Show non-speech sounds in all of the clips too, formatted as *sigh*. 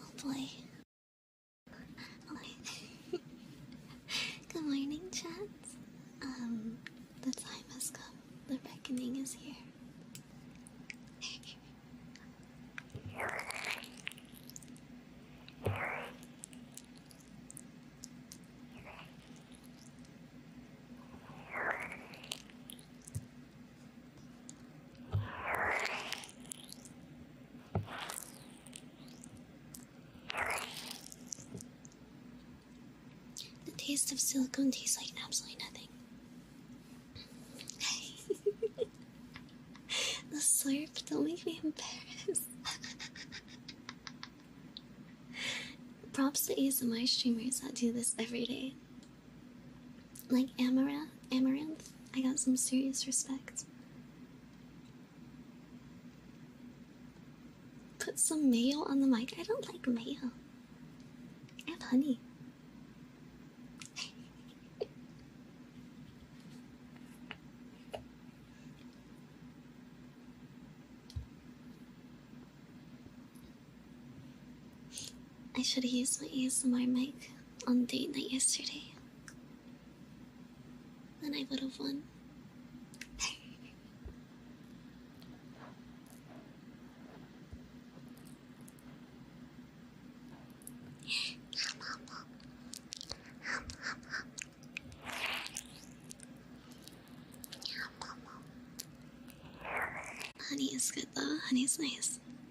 Oh boy. Good morning, chats. Um, the time has come. The reckoning is here. The taste of silicone tastes like absolutely nothing. *laughs* the slurp, don't make me embarrassed. *laughs* Props to ASMR streamers that do this every day. Like Amaranth, Amaranth, I got some serious respect. Put some mayo on the mic. I don't like mayo. I honey. I should have used my ASMR mic on date night yesterday. Then I would have won. Honey is good though, honey's nice.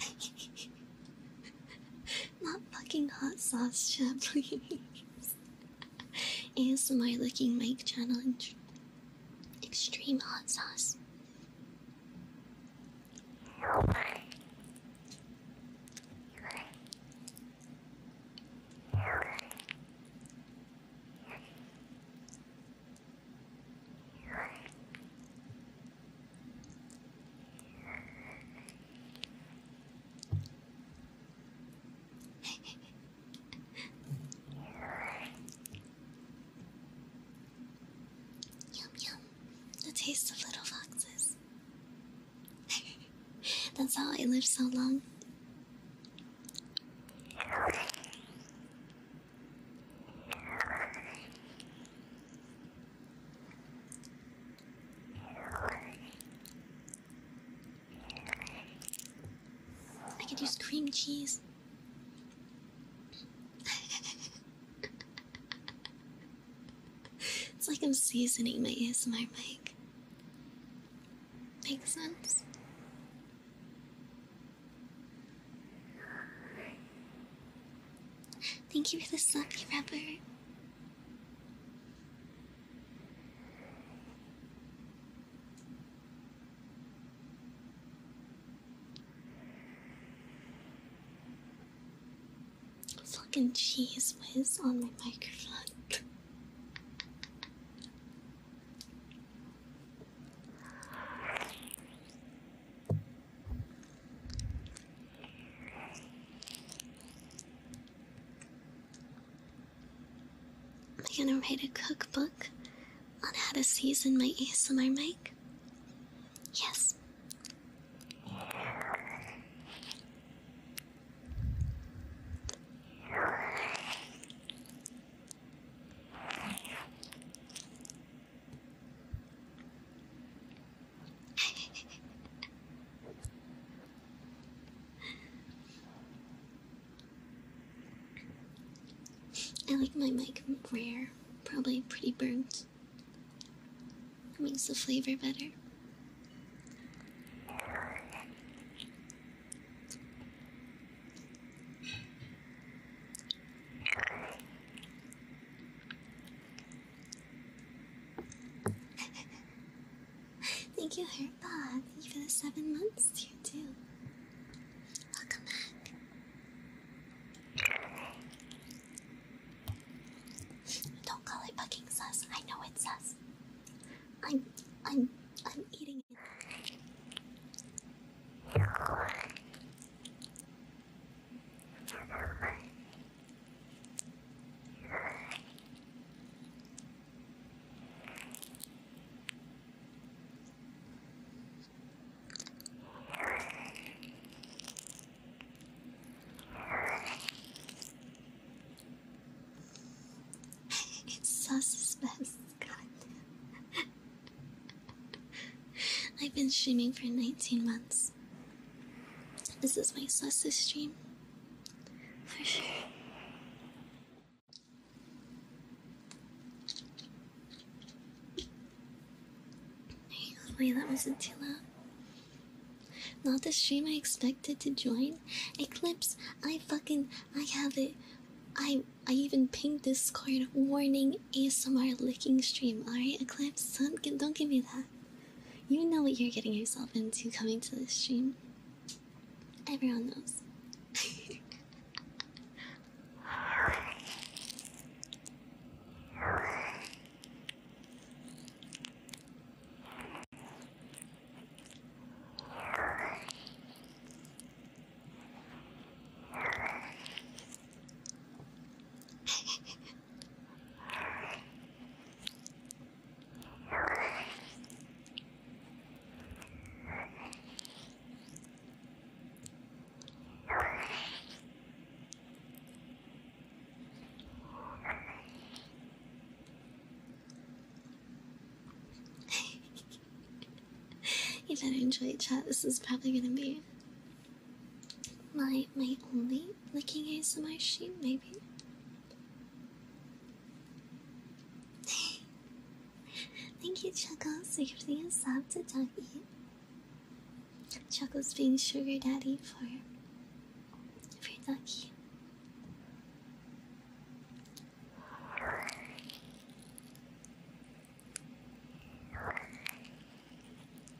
*laughs* Not fucking hot sauce, shit, please. *laughs* my looking mic channel extreme hot sauce yum yum, the taste of little foxes. *laughs* That's how I live so long. I could use cream cheese. *laughs* it's like I'm seasoning my my mic. Makes sense? Thank you for the sloppy rubber. Fucking cheese whiz on my microphone. Am i gonna write a cookbook on how to season my ASMR mic. Yes. I like my mic rare, probably pretty burnt. That makes the flavor better. *laughs* Thank you, Heartbot. Thank for the seven months you too. Welcome back. Don't call it fucking sus. I know it's sus. I'm I'm I'm eating it. It's so suspicious, *laughs* I've been streaming for 19 months this. is my sus stream. For sure. Wait, that wasn't too Not the stream I expected to join. Eclipse, I fucking I have it. I I even pinged card warning ASMR licking stream. Alright, Eclipse, son, don't give me that. You know what you're getting yourself into coming to this stream. Everyone knows. *laughs* you *laughs* better enjoy chat. This is probably gonna be my my only licking my shoe, maybe. *laughs* Thank you, Chuckles, so for the sub to Dougie. Chuckles being sugar daddy for for Dougie.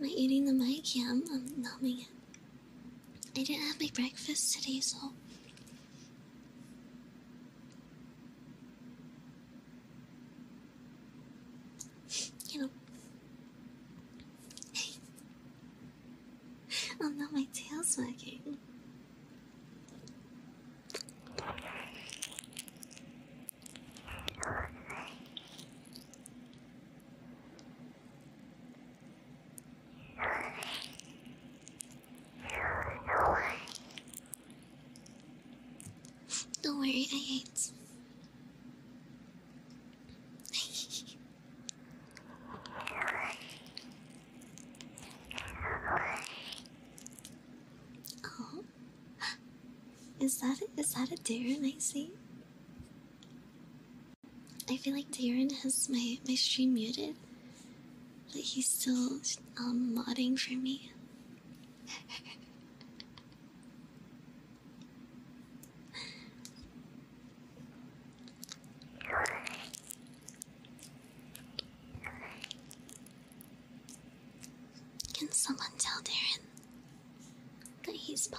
Am I eating the mic? Yeah, I'm, i numbing it. I didn't have my breakfast today, so. You know. oh no, my tail's wagging. Don't worry, I hate. *laughs* oh, is that a, that a dare I I feel like Darren has my my stream muted, but he's still um, modding for me. *laughs* Can someone tell Darren that he's Pog?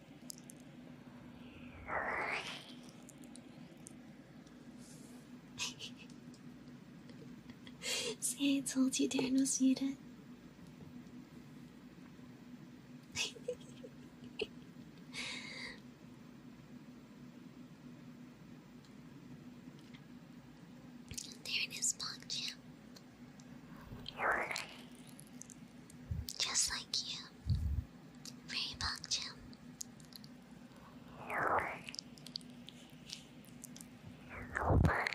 See, I told you Darren was muted. Darren champ. Just like you. Very much. Thank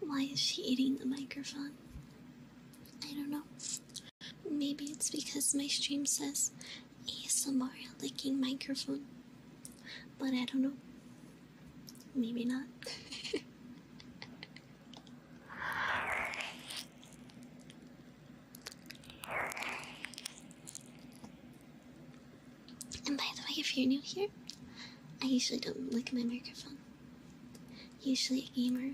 why is she eating the microphone? I don't know. Maybe it's because my stream says ASMR licking microphone. But I don't know. Maybe not. *laughs* And by the way, if you're new here, I usually don't look my microphone. Usually a gamer.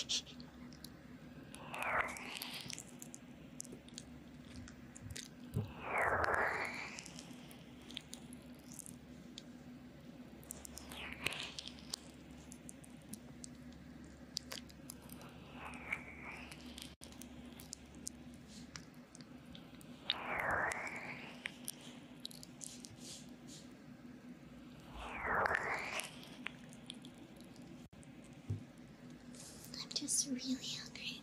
*laughs* I'm just really hungry.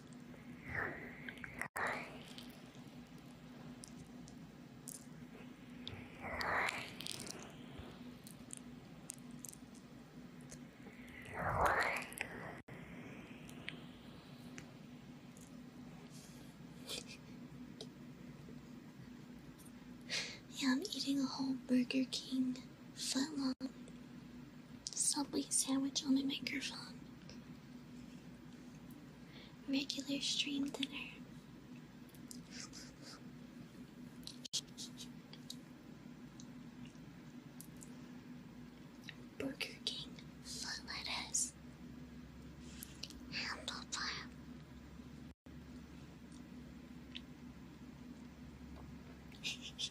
yeah, I'm eating a whole Burger King footlong subway sandwich on my microphone regular stream dinner. Burger King, full lettuce, handlebar. *laughs*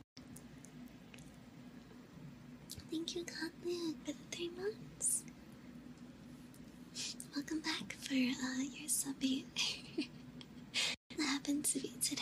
Thank you, Cotman, for the three months. Welcome back for uh, your subbing. *laughs* that happened to be today.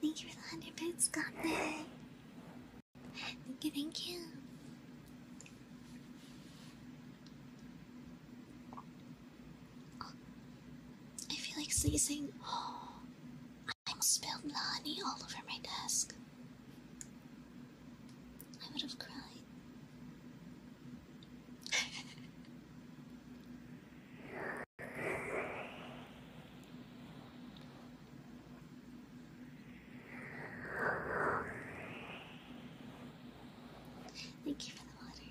Thank you for the hundred bits, got Thank you, thank you. I feel like sneezing. *gasps* I spilled Lani all over my desk. I would have cried. Thank you for the water.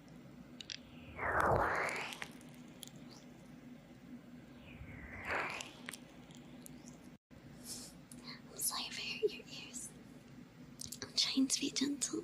I'm sorry I hurt your ears. I'm trying to be gentle.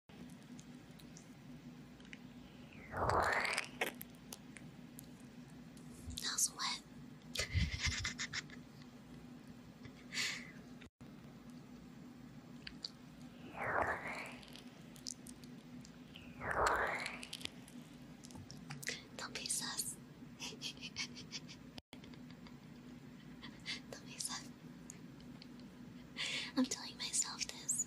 That's wet. Don't be sus. Don't be sus. I'm telling myself this.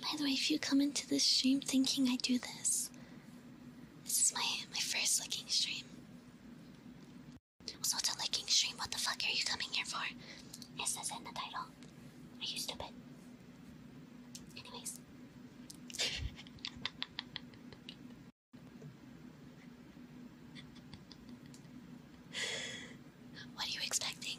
By the way, if you come into this stream thinking I do this, this is my my first licking stream. So it's a licking stream. What the fuck are you coming here for? It says in the title. Are you stupid? Anyways. *laughs* What are you expecting?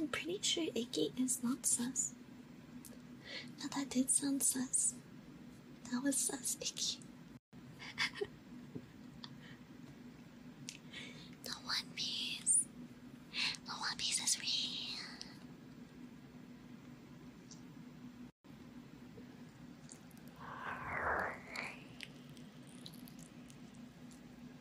I'm pretty sure icky is not sus. Now that did sound sus. That was sus, icky. *laughs* the One Piece. The One Piece is real.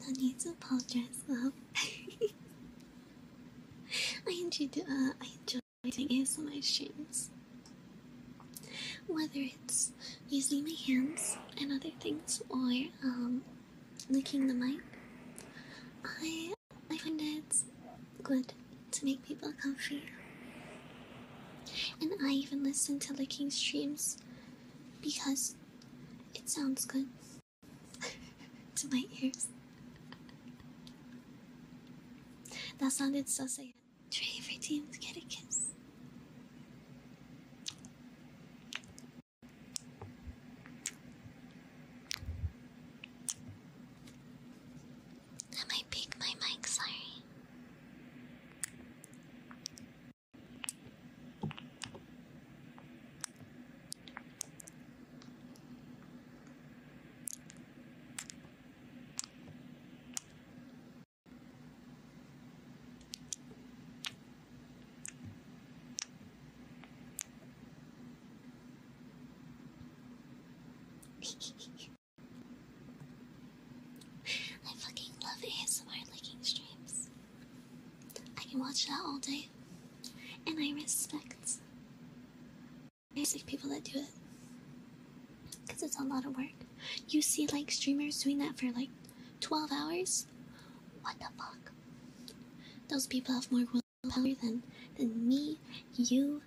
No need to apologize, love. I enjoy uh, I enjoy doing my streams. Whether it's using my hands and other things, or um, licking the mic, I I find it good to make people comfortable. And I even listen to licking streams because it sounds good *laughs* to my ears. that sounded so sad. Try every to get a kiss. I might pick my mic, sorry. *laughs* I fucking love ASMR licking streams. I can watch that all day. And I respect basic people that do it. Because it's a lot of work. You see, like, streamers doing that for like 12 hours? What the fuck? Those people have more willpower than, than me, you.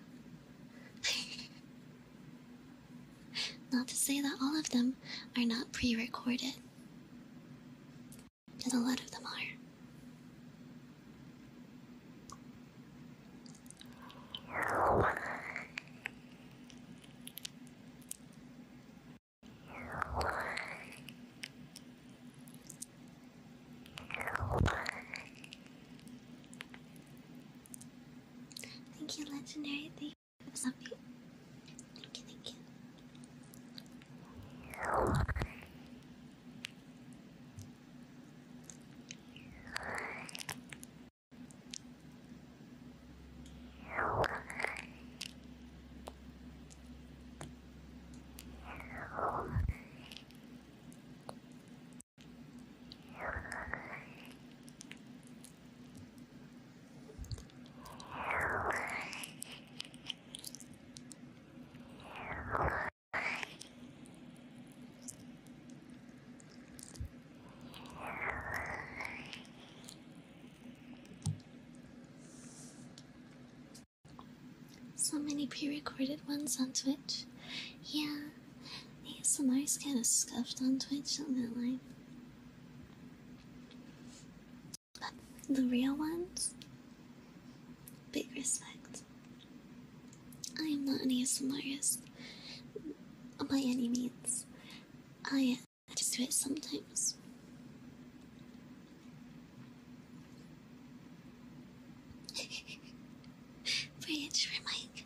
*laughs* Not to say that all of them are not pre recorded, But a lot of them are. Thank you, legendary. Thank you, zombie. Thank you, thank you. So many pre recorded ones on Twitch. Yeah, ASMR's kind of scuffed on Twitch, I'm not lying. But the real ones, big respect. I am not an ASMRist by any means. I, I just do it sometimes. Bridge *laughs* for Mike.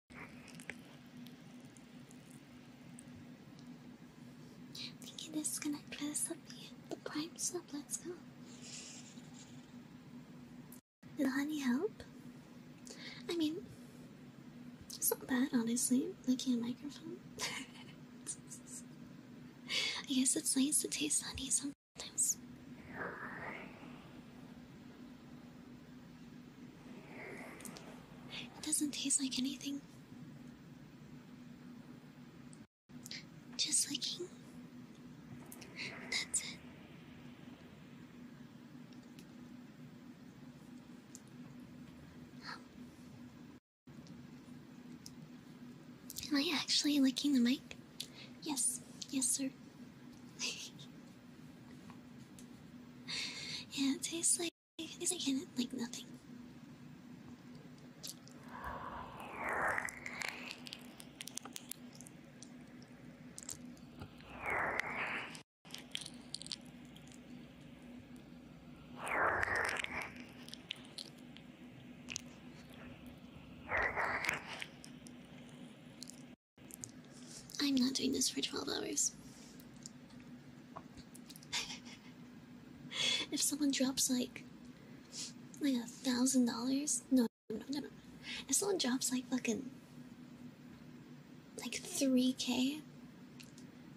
Thinking this is gonna dress up the, the prime's up, let's go. Will honey help? I mean, it's not bad, honestly, looking at a microphone. *laughs* I guess it's nice to taste honey sometimes. It doesn't taste like anything. Just licking. That's it. Am I actually licking the mic? Yes, yes, sir. *laughs* yeah, it tastes like because I can't, like, nothing. I'm not doing this for 12 hours. *laughs* if someone drops like like a thousand dollars, no, no, no, no. If someone drops like fucking like three k,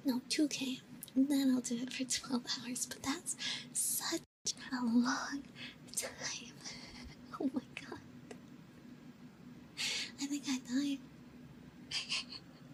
no two k, then I'll do it for twelve *laughs* hours. But that's such a long time. *laughs* oh my god. I think I died.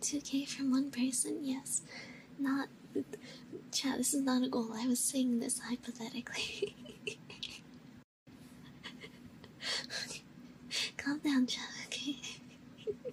2k from one person, yes. Not chat, this is not a goal. I was saying this hypothetically. *laughs* Calm down, chat, okay? *laughs*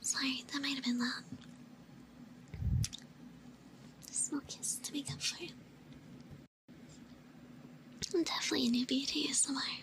Sorry, that might have been loud. A small kiss to make up for it. I'm definitely a newbie to ASMR.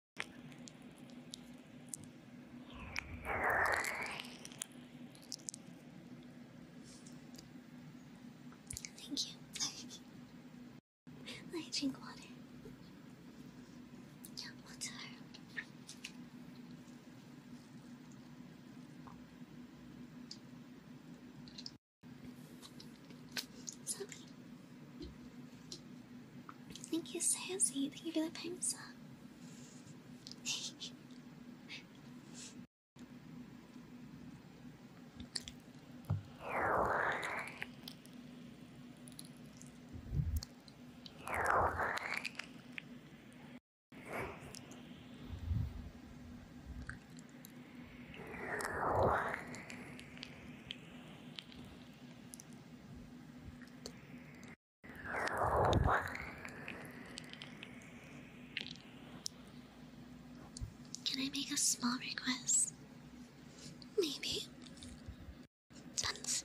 Thank you. *laughs* I drink water. Yeah, water. Sorry. Thank you, Sassy. Thank you for the prime sub. Can I make a small request? Maybe. Dance.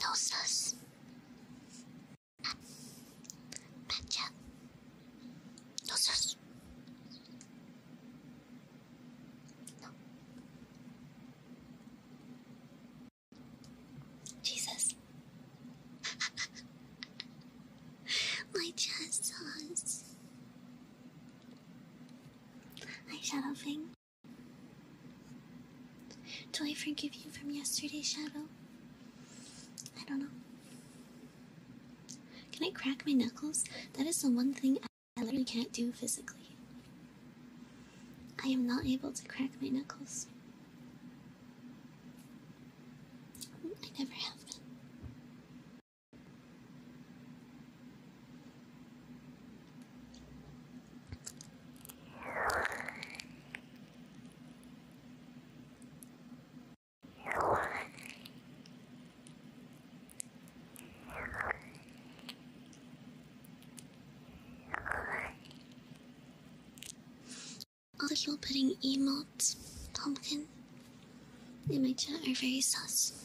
Nosas. Pacha. Nosas. No. Jesus. *laughs* My chest sauce. Eyeshadow do I forgive you from yesterday's shadow? I don't know. Can I crack my knuckles? That is the one thing I literally can't do physically. I am not able to crack my knuckles. I never have all the you putting emotes, pumpkin, and my chat are very sus.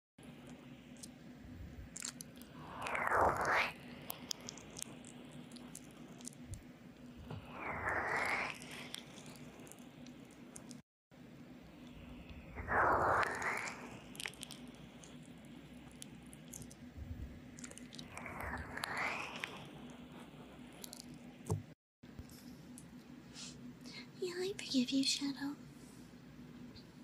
Yeah, I forgive you, Shadow.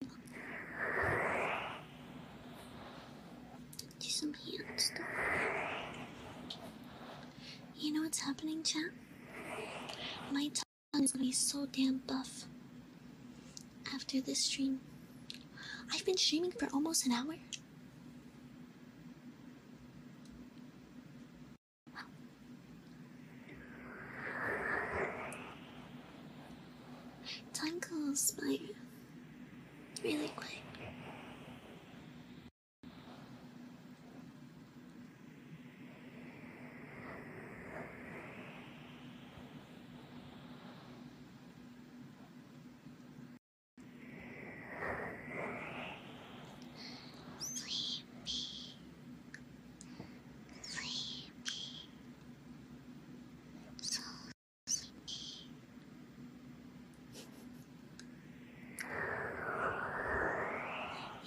Do some hand stuff. You know what's happening, chat? My tongue is gonna be so damn buff after this stream. I've been streaming for almost an hour. Time goes by really quick. Sleepy. Sleepy. So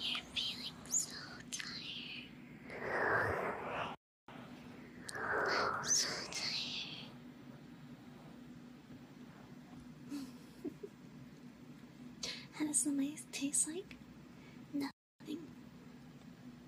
you're feeling so tired. so tired. How does the mice taste like? Nothing.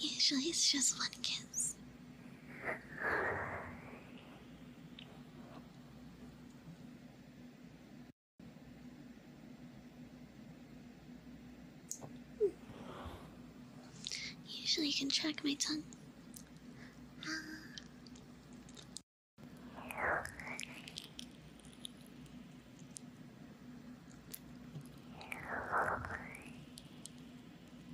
Usually it's just one kiss. Usually, you can track my tongue.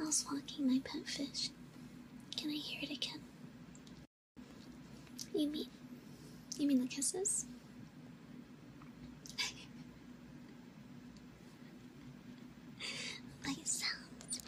I was walking my pet fish. Can I hear it again? You mean, you mean the kisses? My sounds.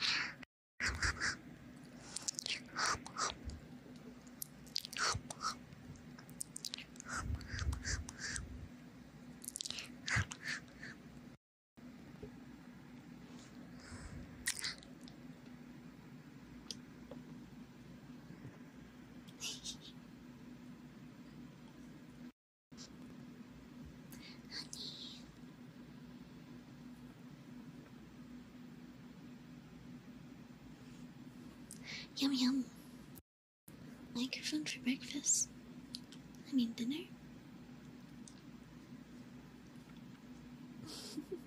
Honey. Yum yum. Microphone for breakfast. I mean dinner. *laughs*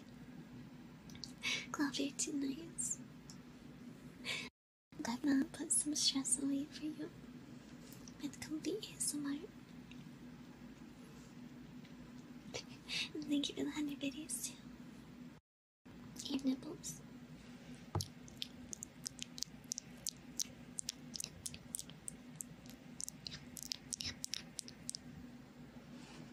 much. tonight. too nice. That man put some stress away for you with comfy ASMR. and thank you for the 100 videos too. And nipples.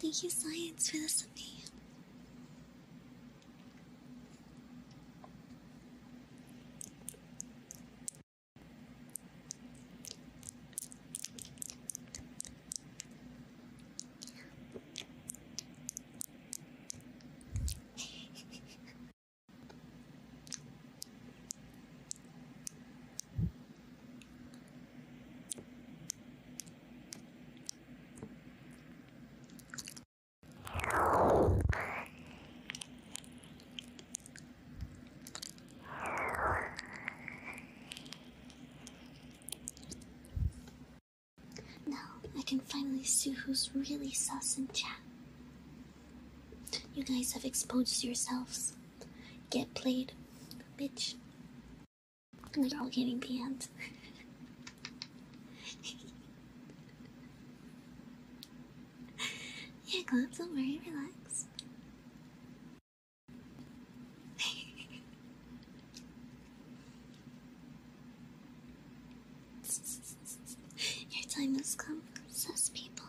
Thank you, science, for this amazing. Now I can finally see who's really sus in chat. You guys have exposed yourselves. Get played, bitch. And you're all getting banned. *laughs* yeah, Glad, don't worry, relax. *laughs* Your time has come, says people.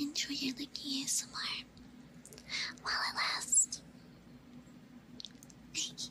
enjoy your lucky ASMR while it lasts. *laughs*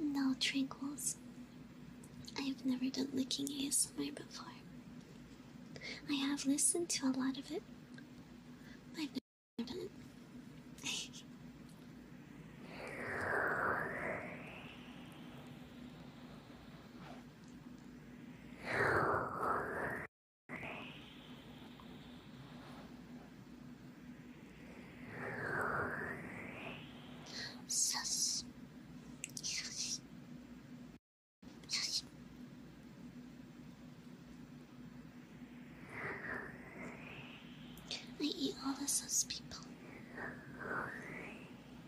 No tranquils. I have never done licking ASMR before. I have listened to a lot of it, I've never done Sus. Sus. Sus. I eat all the sus people.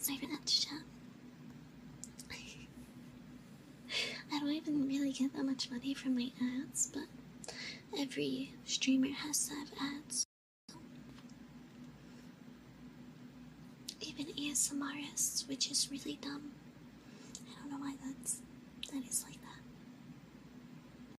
Sorry for that chat. I don't even really get that much money from my ads, but every streamer has to have ads. Even ASMRs, which is really dumb. I don't know why that's that is like that.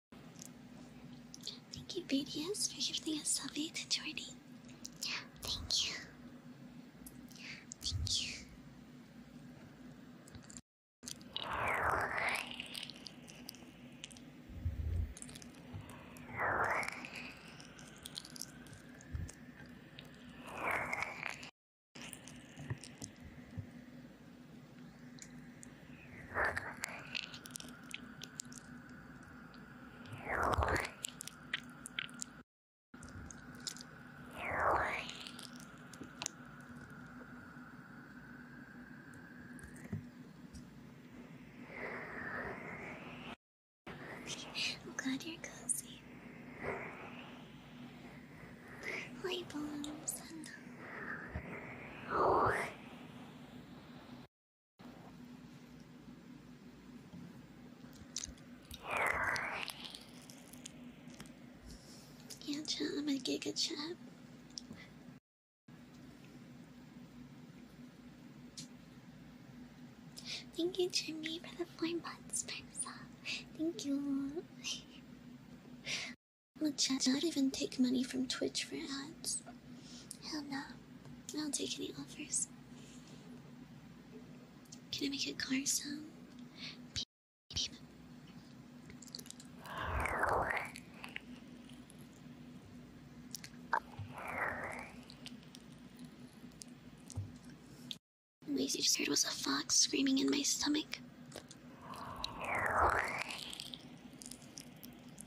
Thank you, BDS, for giving us Subby to Jordy. Thank you. Thank you. I'm glad you're cozy. Light bulbs and yeah, chat, I'm a giga chat. Thank you, Jimmy, for the four months, Persa. Thank you. *laughs* Look, chat, I don't even take money from Twitch for ads. Hell no. I don't take any offers. Can I make a car sound? The noise you just heard was a fox screaming in my stomach.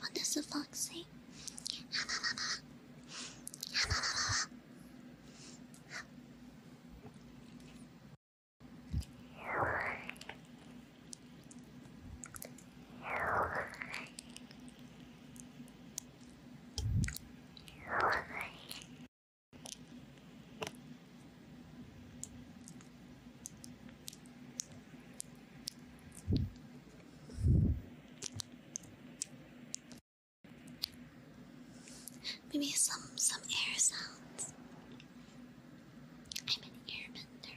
What does the fox say? Maybe some some air sounds. I'm an airbender.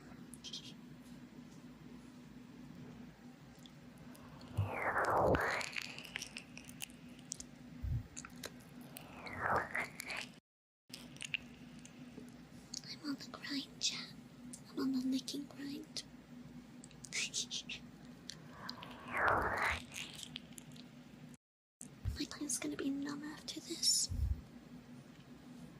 I'm on the grind, yeah. I'm on the licking grind. *laughs* My tongue's gonna be numb after this.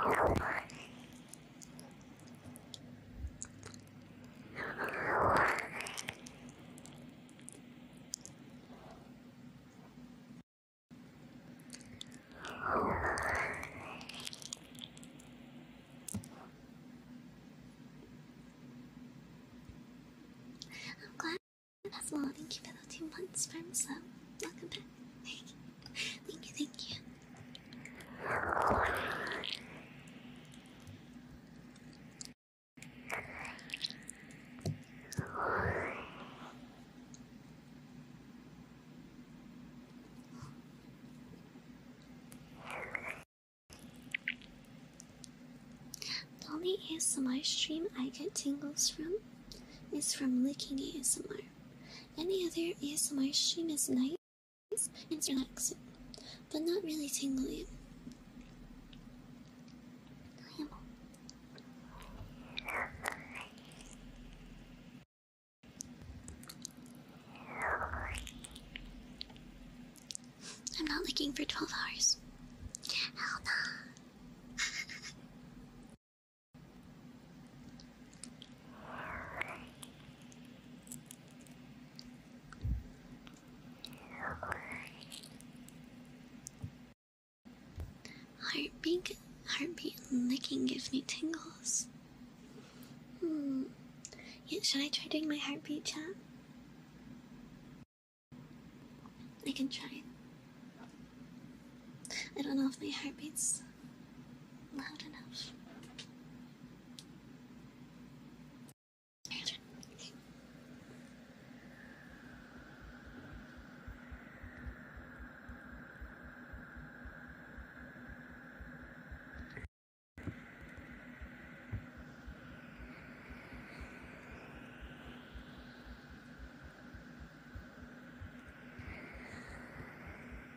I'm glad that's all. Thank you for the two months, Prime Sub. Welcome back. *laughs* Thank you, thank you. The only ASMR stream I get tingles from is from licking ASMR. Any other ASMR stream is nice and relaxing, but not really tingling. I'm not looking for 12 hours. *laughs* Heartbeat, heartbeat licking gives me tingles. Hmm. should I try doing my heartbeat chat? I can try. I don't know if my heartbeat's loud enough.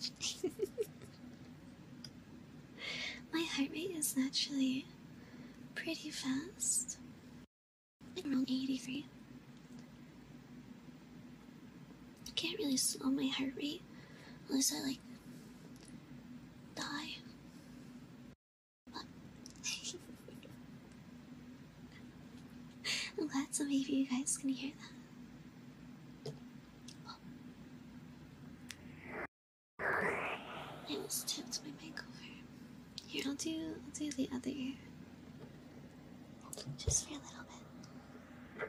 *laughs* My heart rate is naturally pretty fast. Like around 83. I can't really slow my heart rate unless I like die. *laughs* I'm glad some of you guys can hear that. I almost tipped my mic Here, I'll do I'll do the other Just for a little bit.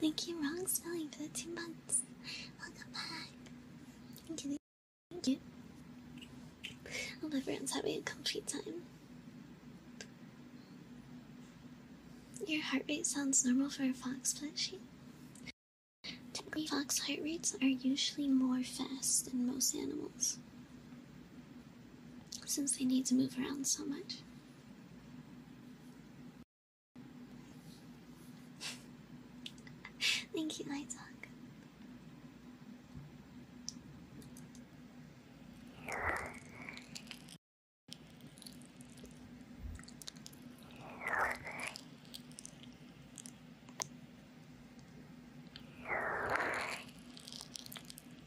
Thank you, wrong spelling for the two months. Welcome back. Thank you. Thank you. Hope everyone's having a complete time. Your heart rate sounds normal for a fox plushie. Typically, fox heart rates are usually more fast than most animals, since they need to move around so much. Thank you, my dog.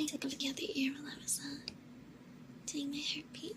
I took a look at the ear while I was uh, doing my hairpin.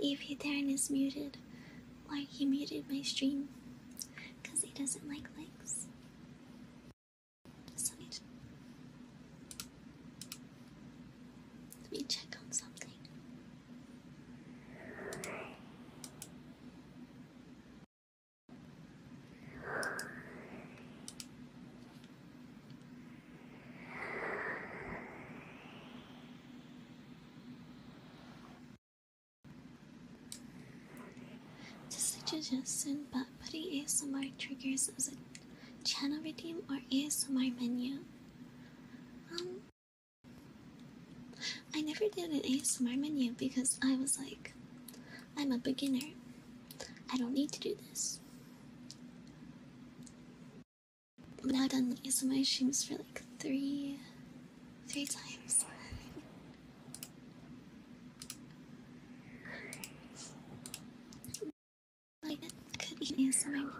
Leave *laughs* it there and is muted, why he muted my stream? Cause he doesn't like likes let me check on something. Just a suggestion, but putting ASMR triggers as a channel redeem or ASMR menu. Um, I never did an ASMR menu because I was like, I'm a beginner. I don't need to do this. But I've done ASMR streams for like three, three times. Like it could be an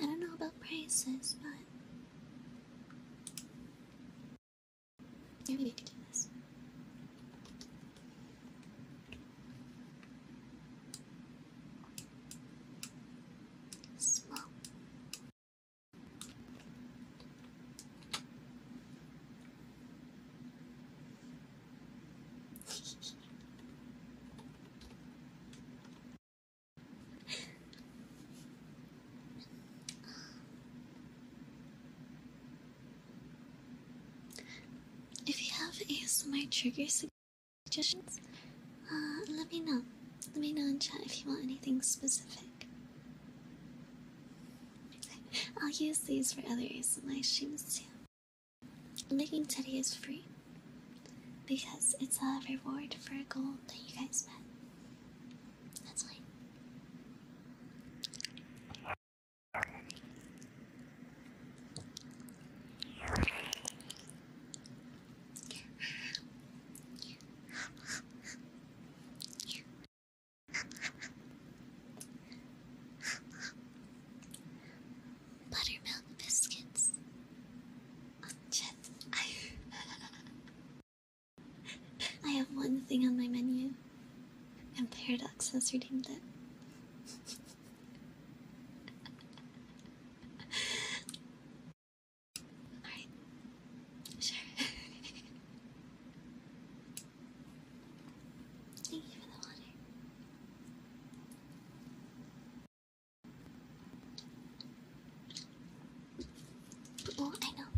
I don't know about prices, but maybe Small if you have any ASMR trigger suggestions, uh, let me know. Let me know in chat if you want anything specific. I'll use these for other ASMR streams too. Making Teddy is free because it's a reward for a goal that you guys met. That's why. Buttermilk biscuits. I, *laughs* I have one thing on my menu, and Paradox has redeemed it. *laughs* Alright. Sure. *laughs* Thank you for the water. Oh, I know.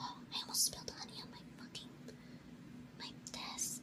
*gasps* I almost spilled honey on my fucking my desk.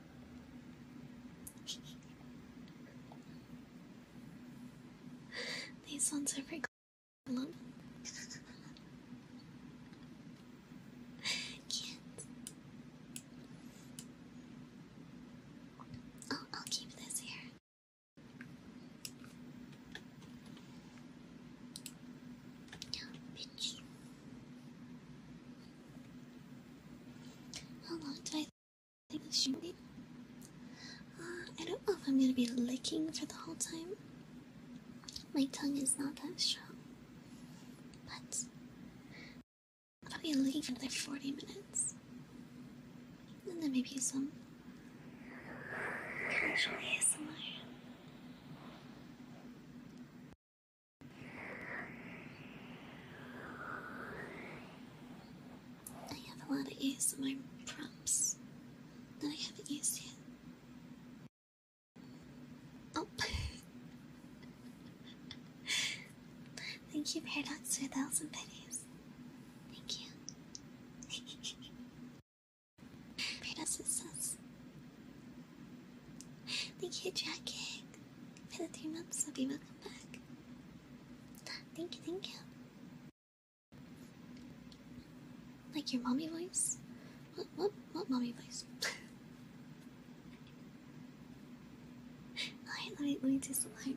*laughs* These ones are pretty cool. *laughs* Cute. Oh, I'll keep this here. Yeah, bitch. How long do I think this should be? Uh, I don't know if I'm gonna be licking for the whole time. My tongue is not that strong. But I'll be licking for another 40 minutes. And then maybe some casual ASMR. I have a lot of use my prompts that I haven't used yet. Oh. *laughs* Thank you, Paradox, for a thousand pennies. Thank you. *laughs* Paradox Thank you, Dragon for the three months, I'll be welcome back. Thank you, thank you. Like your mommy voice? What, what, what mommy voice? *laughs* Alright, let me, let me do some light.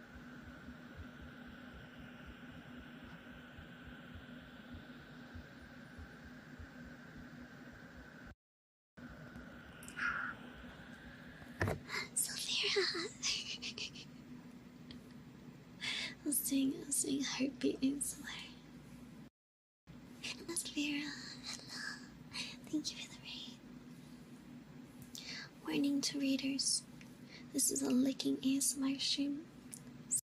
Sophia, *laughs* I was doing, I was doing heartbeat insular. Atmosphera, hello. Thank you for the rain. Warning to readers this is a licking ASMR stream. So,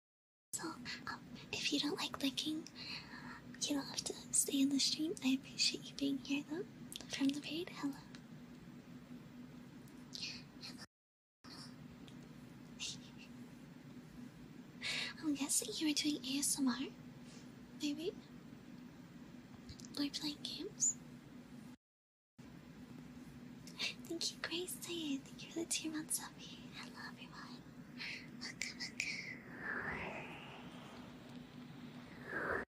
um, if you don't like licking, you don't have to stay in the stream. I appreciate you being here though. From the raid, hello. I'm guessing you were doing ASMR, maybe? Or playing games? Thank you, Grace. Thank you for the two months of me. Hello, everyone. Welcome, welcome. *laughs*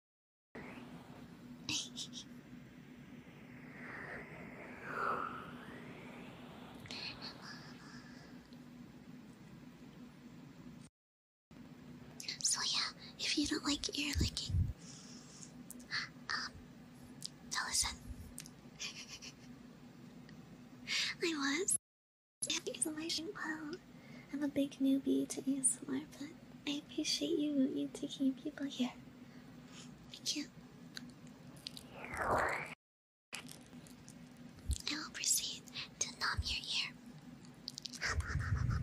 So yeah, if you don't like ear licking, um, so listen. I was ASMR well. I'm a big newbie to ASMR, but I appreciate you you taking people here. Thank you. I will proceed to numb your ear. *laughs*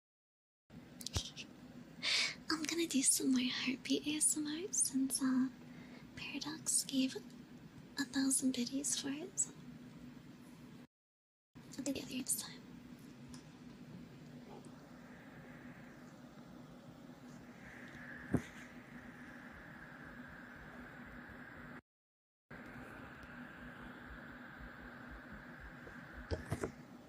I'm gonna do some more heartbeat ASMR since uh, Paradox gave a thousand biddies for it. I'll do the other next time.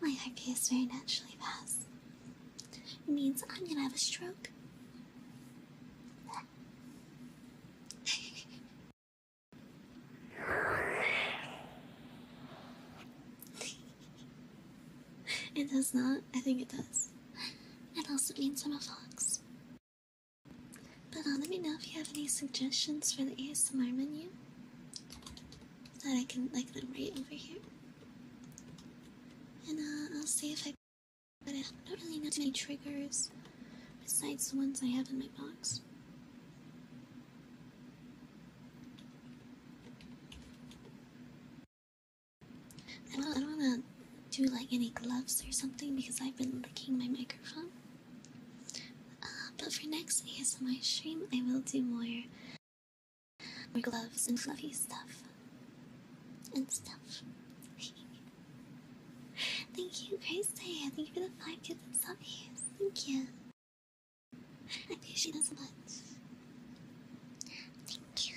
My heart is very naturally fast. It means I'm gonna have a stroke. *laughs* It does not? I think it does. It also means I'm a fox. But uh, let me know if you have any suggestions for the ASMR menu that I can like them right over here. And uh, I'll see if I but I don't really know many triggers besides the ones I have in my box. I don't, want to do like any gloves or something because I've been licking my microphone. Uh, but for next ASMR stream, I will do more, more gloves and fluffy stuff. And stuff. *laughs* Thank you, Gracie. Thank you for the five gifted subbies. Thank you. I appreciate that much. Thank you.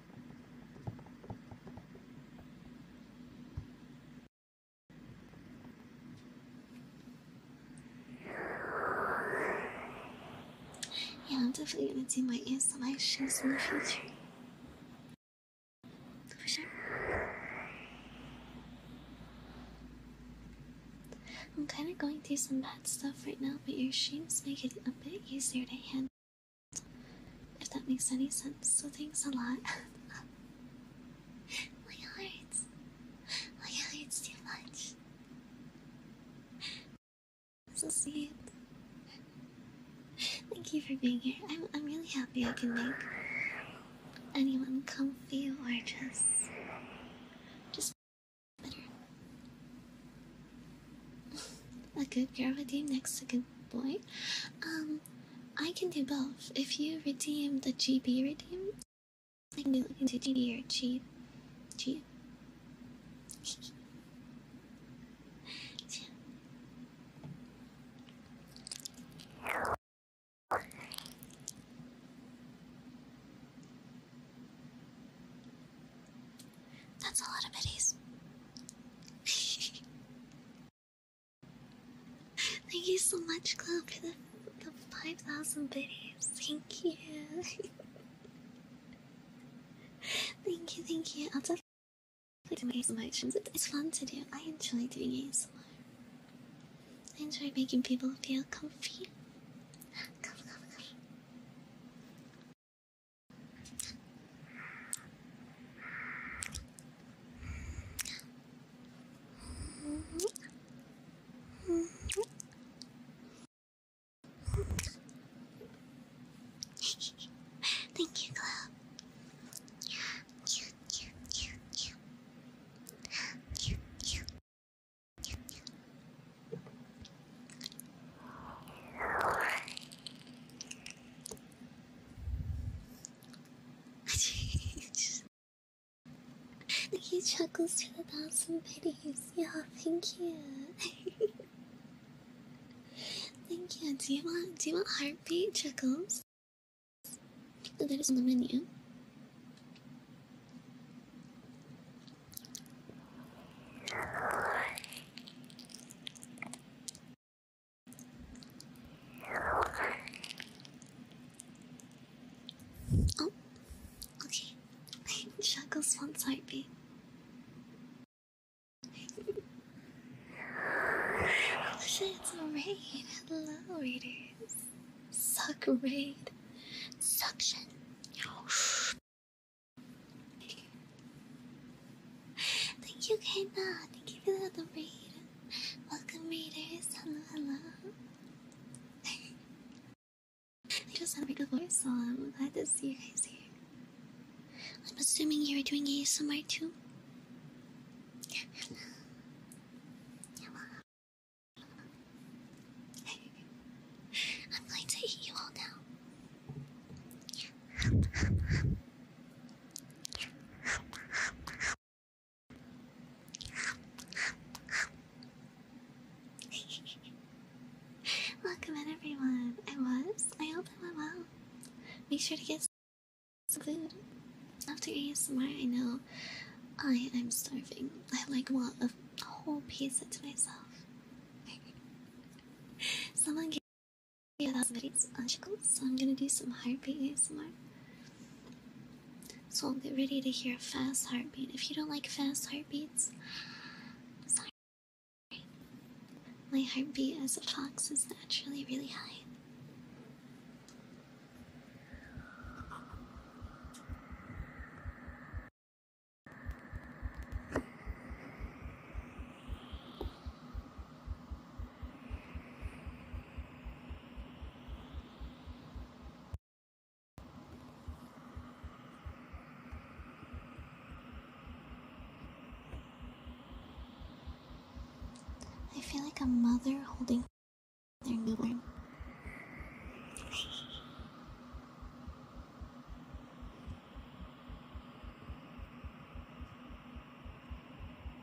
Yeah, I'm definitely gonna do my ear selections in the future. For sure. I'm kind of going through some bad stuff right now, but your streams make it a bit easier to handle. If that makes any sense, so thanks a lot. *laughs* My heart. My heart's too much. So sweet. Thank you for being here. I'm, I'm really happy I can make anyone comfy or just just better. *laughs* a good girl with you next to a good boy. Um I can do both. If you redeem the GB redeem, I can do looking into GD or G. G. That's a lot of biddies. *laughs* Thank you so much, Club, for the, the 5,000 videos. Thank you. *laughs* thank you, thank you. I'll definitely do my emotions. It's fun to do. I enjoy doing ASMR. I enjoy making people feel comfy. Comfy, comfy, comfy. Thank you, Glow. Cute, cute, cute, cute. Cute, cute. Cute, cute. He chuckles to the thousand pities. Yeah, thank you. thank you. Do you want do you want heartbeat chuckles? That is on the menu. Oh, okay. Shackles wants heartbeat. it's a raid. Hello, readers. Suck raid. Suction. Thank you, Kaina. Thank you for the raid. Welcome readers, hello, hello. I just had a big voice, so I'm glad to see you guys here. I'm assuming you're doing ASMR too? *laughs* I'm going to eat you all now. Welcome in everyone. I was. I hope I went well. Make sure to get some food. After ASMR, I know I am starving. I like want a whole pizza to myself. *laughs* Someone yeah, that's very magical. So I'm gonna do some heartbeat ASMR. So get ready to hear a fast heartbeat. If you don't like fast heartbeats, sorry. My heartbeat as a fox is naturally really high. I feel like a mother holding their newborn.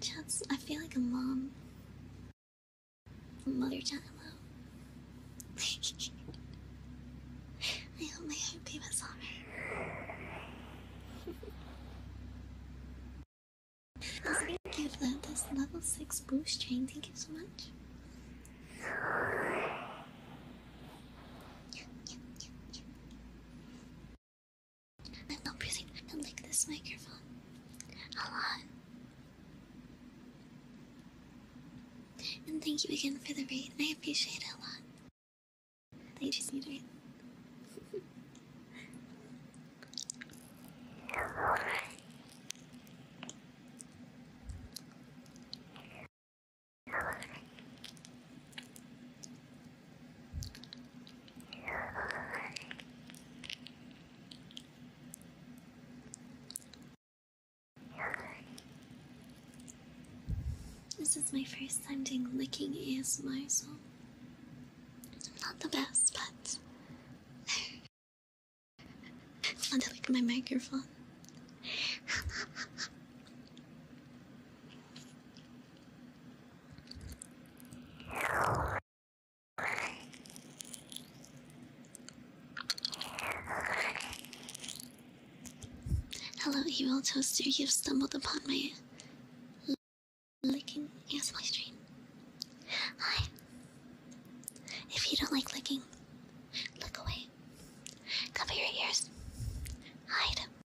Chats, I feel like a mom. Mother chat, hello. *laughs* I hope hope gave us honor. That's very cute though, level 6 boost train, thank you so much. I'm not breathing. I don't like this microphone. a lot. And thank you again for the read. I appreciate it a lot. They just need to read this is my first time doing licking ASMR, myself. I'm not the best, but I want to lick my microphone. *laughs* Hello, evil toaster. You've stumbled upon my licking ASMR stream. Hi. If you don't like licking, look away. Cover your ears. Hide.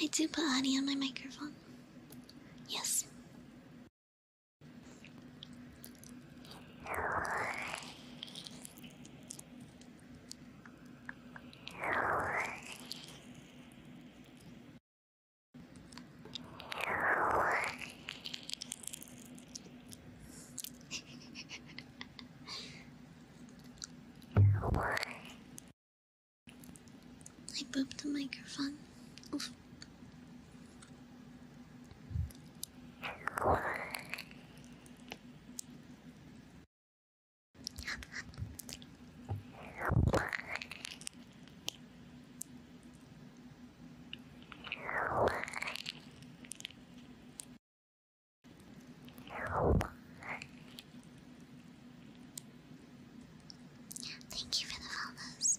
I do put honey on my microphone. Yes. I pooped the microphone. Thank you for the follows.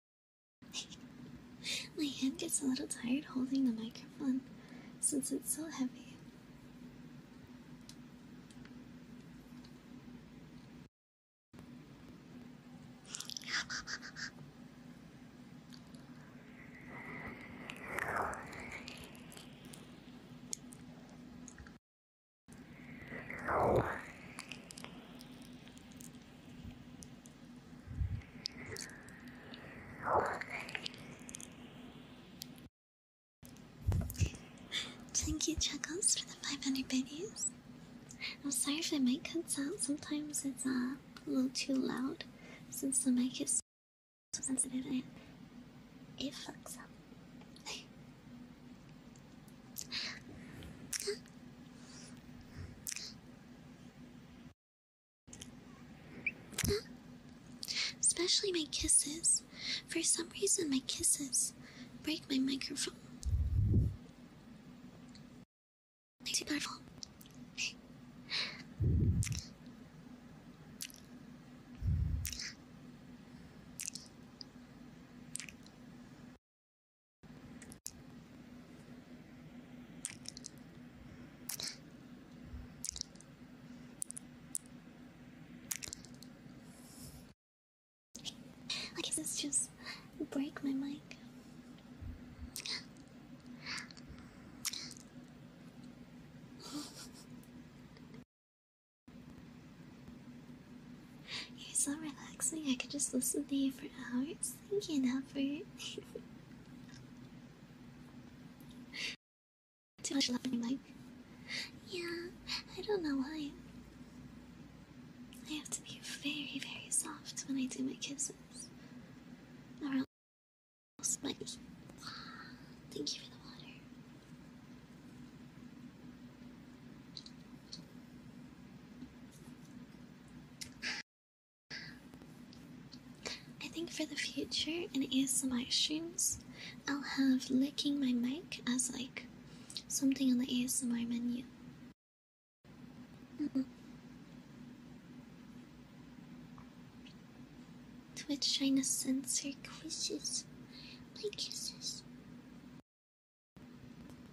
My hand gets a little tired holding the microphone since it's so heavy. Thank you, Chuckles, for the 500 biddies. I'm sorry if my mic cuts out. Sometimes it's uh, a little too loud since the mic is so sensitive and it fucks up. Especially my kisses. For some reason, my kisses break my microphone. Too powerful. Why does this just break my mic? You're so relaxing, I could just listen to you for hours. Thank you, Dapper. Too much love in my Yeah, I don't know why. I have to be very, very soft when I do my kisses. Or Thank you for the water. I think for the future in ASMR streams, I'll have licking my mic as like something on the ASMR menu. Mm -mm. Twitch trying censor quizzes, my kisses.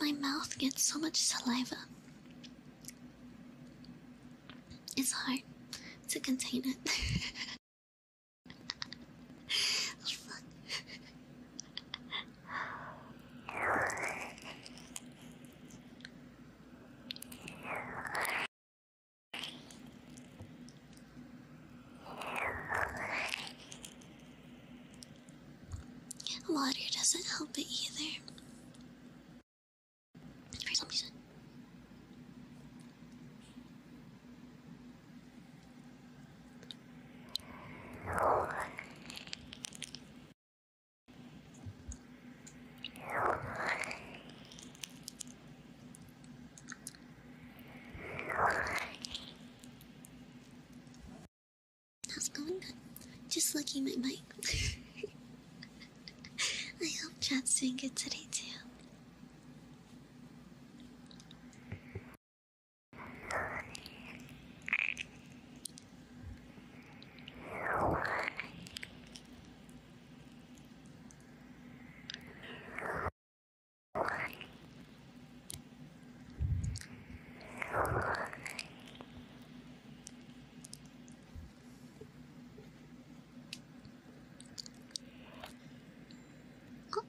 My mouth gets so much saliva. It's hard to contain it. *laughs* Water doesn't help it either. How's going? Just looking at my mic. I hope Chad's doing good today too. Oh,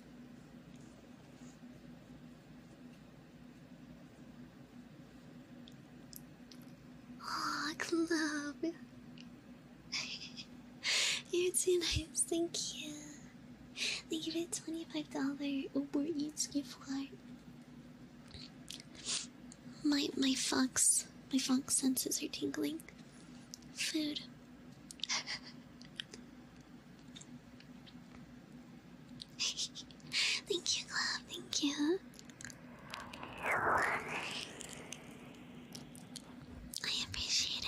*laughs* club. You're too nice, thank you. Thank you for $25 Uber Eats gift card. My my fox my fox senses are tingling food. *laughs* thank you, Glove. Thank you. I appreciate it.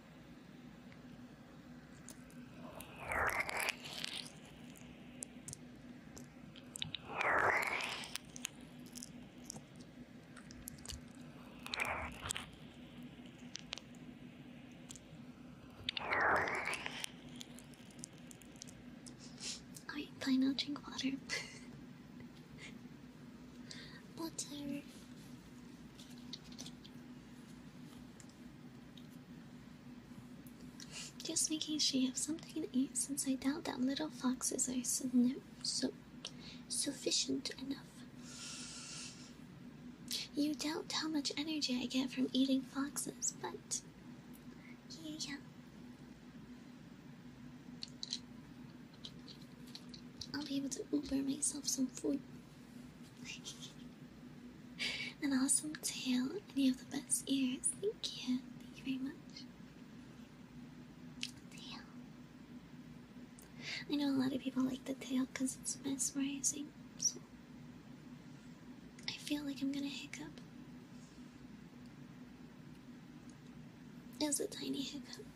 Alright, fine, I'll drink water. *laughs* water. Just making sure you have something to eat, since I doubt that little foxes are sufficient enough. You doubt how much energy I get from eating foxes, but yeah, yeah. I'll be able to Uber myself some food. An awesome tail, and you have the best ears. Thank you. Thank you very much. Tail. I know a lot of people like the tail because it's mesmerizing. So I feel like I'm gonna hiccup. was a tiny hiccup.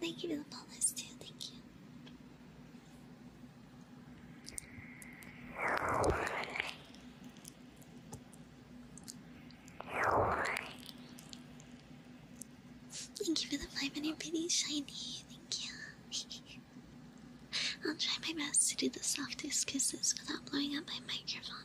Thank you for the bonus too, thank you. Thank you for the five minute pretty shiny, thank you. *laughs* I'll try my best to do the softest kisses without blowing up my microphone.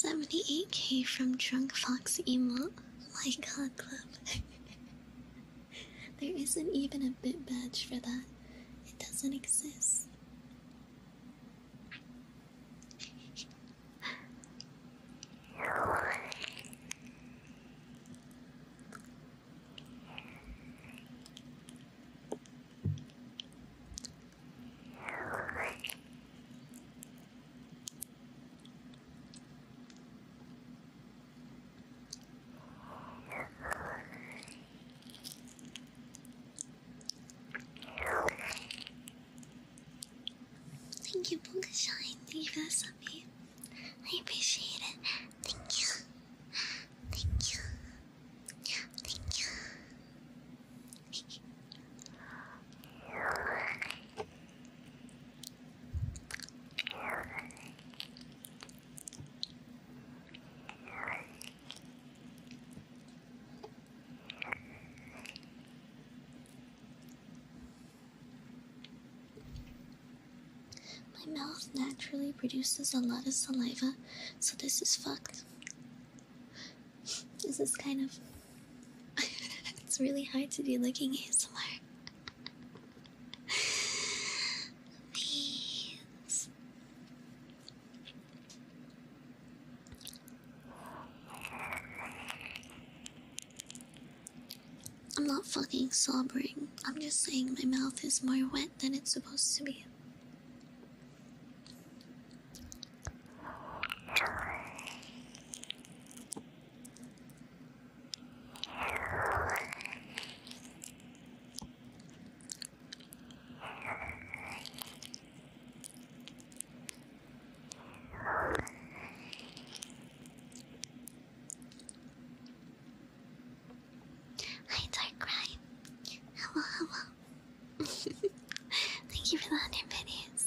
78k from Drunk Fox Emote. My God Club. there isn't even a bit badge for that. It doesn't exist. Thank you, for the sub I appreciate it. Thank you. Thank you. Thank you. *laughs* My mouth naturally produces a lot of saliva, so this is fucked. *laughs* this is kind of *laughs* it's really hard to do looking ASMR. Please. I'm not fucking sobbing. I'm just saying my mouth is more wet than it's supposed to be. Hi, Dark Rhyme. Hello, hello. Thank you for the 100 videos.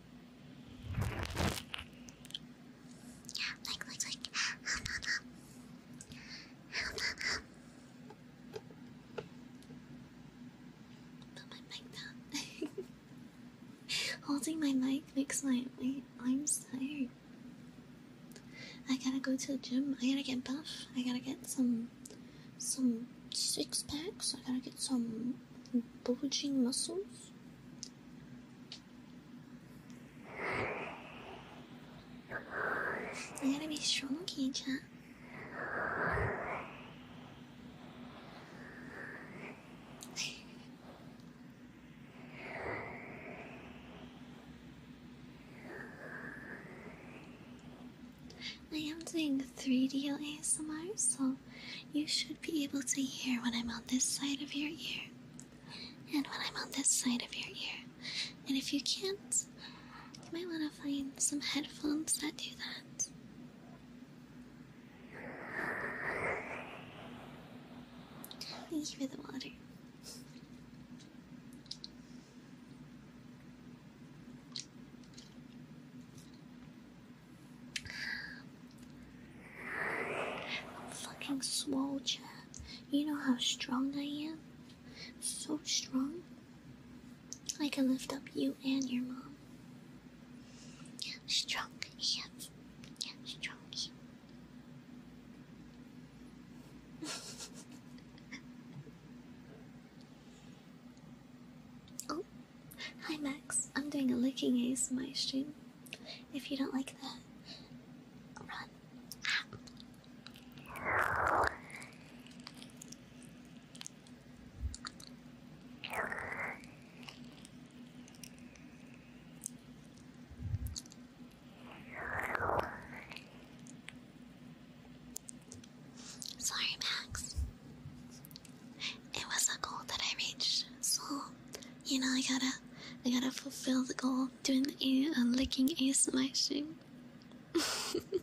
Yeah, like, like, like. Hum, hum, hum. Hum, hum, Put my mic down. *laughs* Holding my mic I'm my arms tired. I gotta go to the gym. I gotta get buff. I gotta get some some six packs. I gotta get some bulging muscles. I gotta be strong, Keisha. I am doing 3D ASMR, so you should be able to hear when I'm on this side of your ear and when I'm on this side of your ear. And if you can't, you might want to find some headphones that do that. Thank for the water fucking swole, Chad. You know how strong I am? So strong. I can lift up you and your mom. Strong hands. Yeah, strong *laughs* oh, hi Max. I'm doing a licking ASMR stream. If you don't like that, run. Sorry, Max. It was a goal that I reached, so you know, I gotta, I gotta fulfill the goal doing a uh, licking a smashing. *laughs*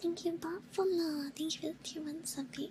Thank you, Buffalo. Thank you for the tier one subby.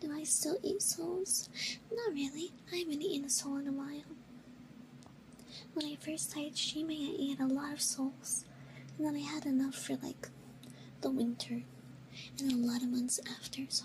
Do I still eat souls? Not really. I haven't eaten a soul in a while. When I first started streaming, I ate a lot of souls, and then I had enough for like the winter and a lot of months after, so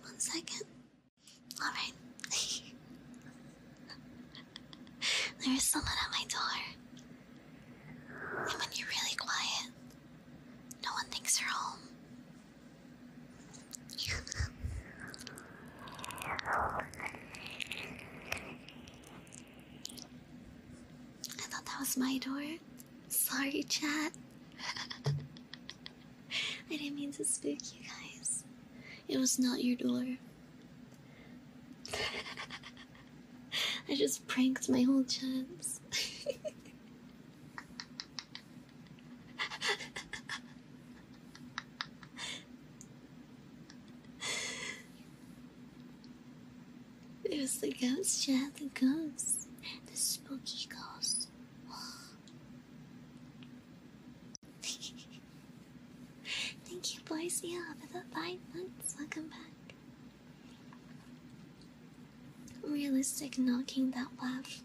One second. Alright. *laughs* there is someone at my door. And when you're really quiet, no one thinks you're home. *laughs* I thought that was my door. Sorry, chat. *laughs* I didn't mean to spook you guys. It was not your door. *laughs* I just pranked my whole chance. *laughs* There's the ghost, yeah, the ghost. The spooky ghost. *laughs* Thank you, boys. for the five months. Welcome back. Realistic knocking that laugh.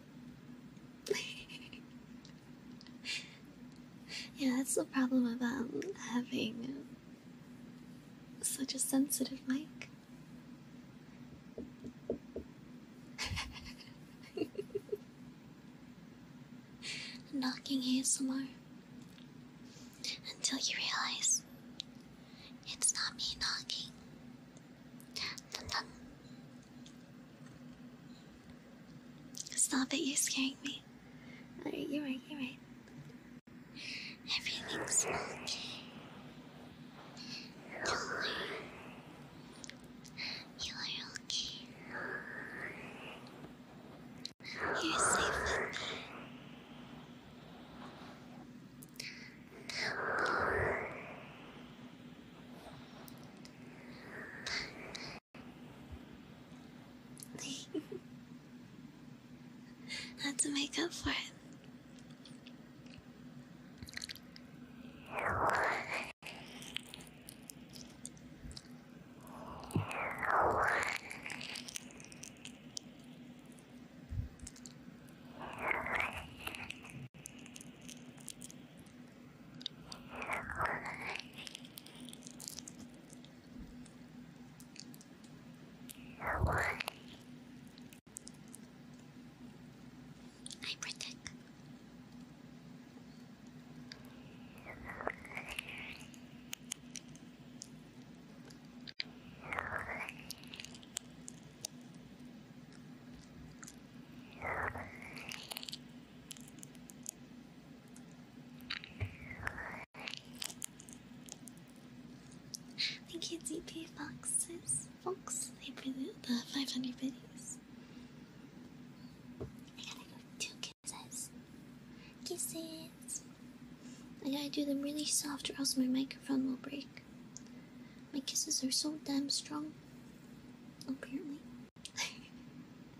*laughs* Yeah, that's the problem about um, having such a sensitive mic. *laughs* Knocking ASMR until you realize it's not me knocking. Dun -dun. Stop it, you're scaring me. you're right, you're right. Everything's okay. Don't You are okay. You're safe with me. Let's *laughs* make up for it. Or what? I protect. Thank you, DP Foxes. Fox, thank you for the 500 biddies. I gotta do two kisses. Kisses. I gotta do them really soft or else my microphone will break. My kisses are so damn strong. Apparently. *laughs*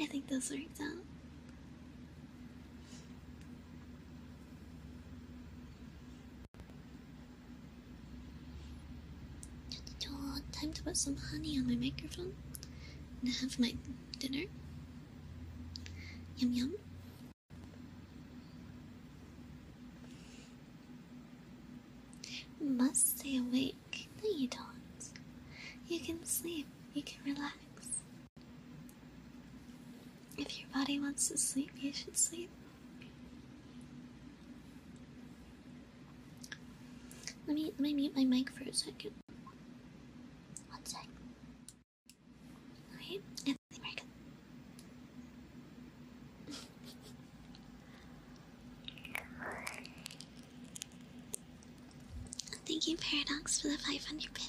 I think those worked out. Time to put some honey on my microphone and have my dinner. Yum yum must stay awake. No, you don't. You can sleep. You can relax. If your body wants to sleep, you should sleep. Let me let me mute my mic for a second. One sec. Okay, and the American. Thank you, Paradox, for the 500 pennies.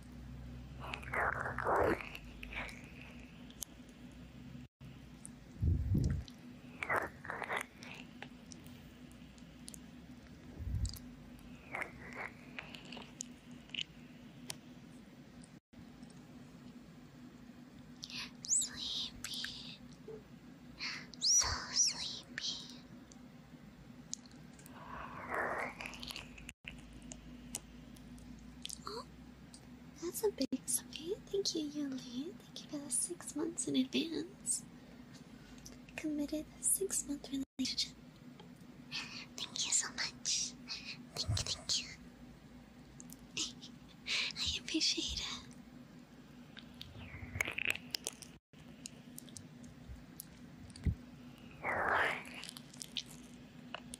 Sleepy, so sleepy. Oh, that's a big sign. Thank you, Yuli. Thank you for the six months in advance. Committed six month relationship. Thank you so much. Thank you, thank you. *laughs* I appreciate it.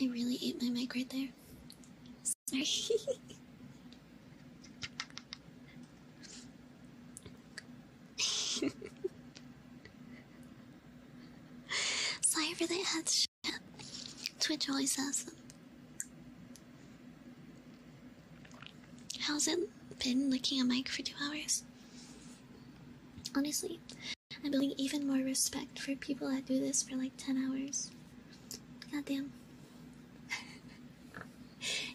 I really ate my mic right there. Sorry. *laughs* Sorry for that head Twitch always has them. How's it been licking a mic for two hours? Honestly, I'm building even more respect for people that do this for like 10 hours. Goddamn.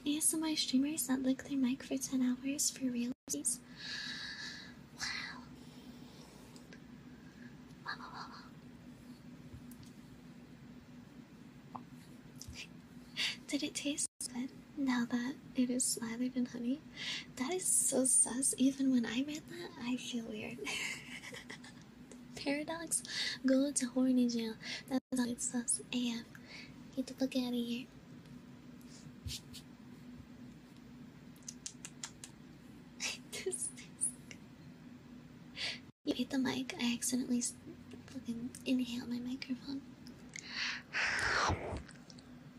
ASMR *laughs* streamers that lick their mic for 10 hours for real. Wow. wow. *laughs* Did it taste now that it is slathered in honey. That is so sus. Even when I read that, I feel weird. *laughs* Paradox, go to horny jail. That's all it sus AF. Get to fuck out of here. *laughs* You hit the mic. I accidentally fucking inhaled my microphone.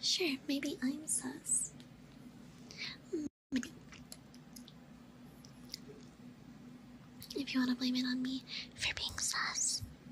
Sure, maybe I'm sus. If you want to blame it on me for being sus,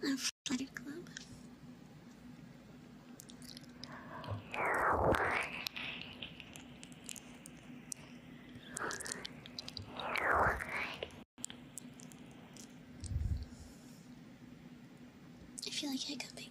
A flutter club. I feel like hiccuping.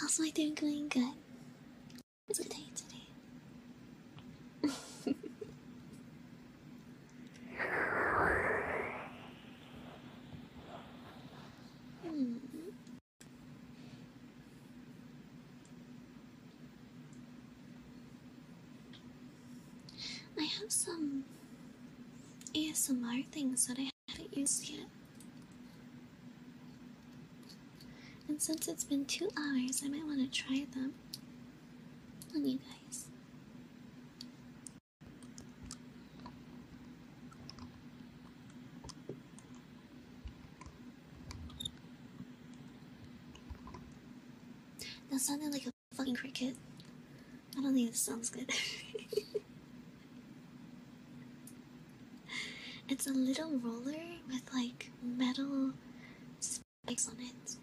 How's *laughs* my day going? Good. Today, today. Hmm. I have some ASMR things that I I haven't used yet. And since it's been two hours, I might want to try them on you guys. That sounded like a fucking cricket. I don't think this sounds good. it's a little roller with like metal spikes on it.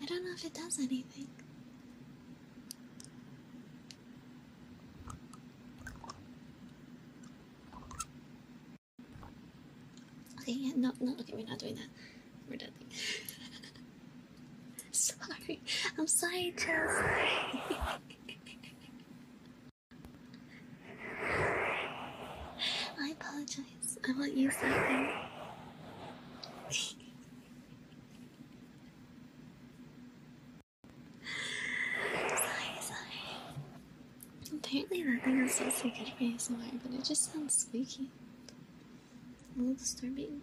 I don't know if it does anything. Okay, no, no, okay, we're not doing that. We're done. *laughs* sorry, I'm sorry, Chelsea. *laughs* I apologize. I won't use that Sorry, sorry. Apparently that thing is so sacred for ASMR, but it just sounds squeaky. A little disturbing.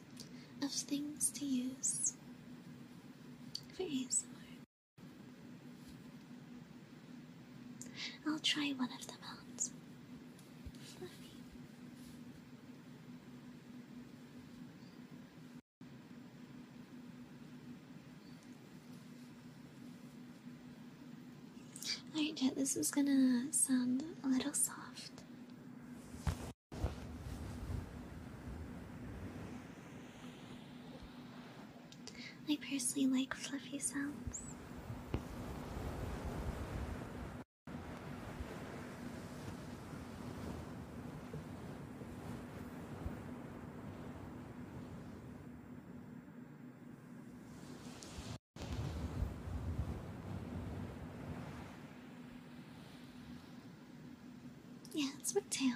of things to use for I'll try one of them out. Fluffy. Alright, Jet, this is gonna sound a little soft. I personally like fluffy sounds. Yeah, it's my tail.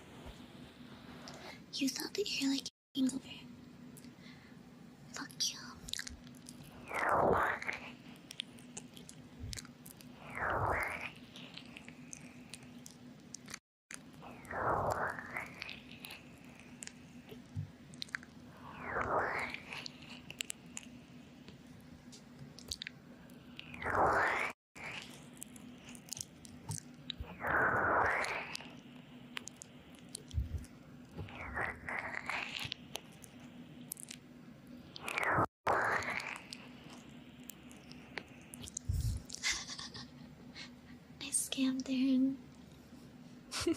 You thought that you're like a over. Fuck you. I scammed Aaron. *laughs*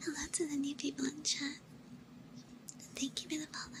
Hello to the new people in chat. Thank you for the follows.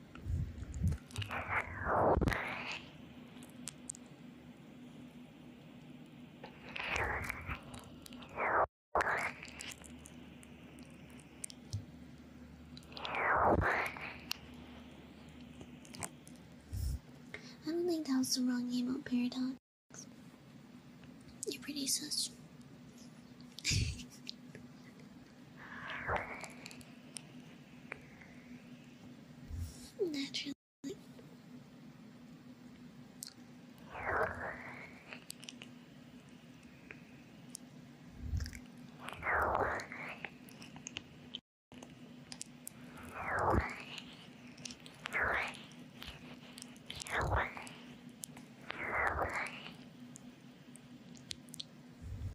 I don't think that was the wrong name on Paradox. You're pretty such. *laughs* Naturally.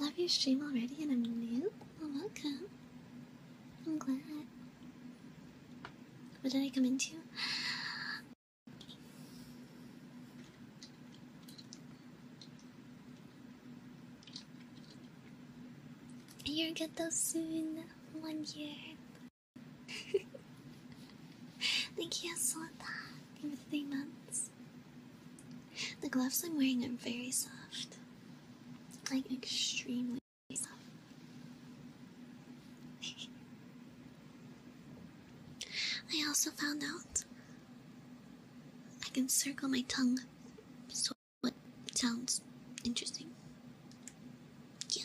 I love your stream already, and I'm new. welcome. I'm glad. What did I come into? You'll get those soon, one year. *laughs* They can't you, that for three months. The gloves I'm wearing are very soft. Like, extremely soft. I also found out I can circle my tongue, so what sounds interesting. Yeah.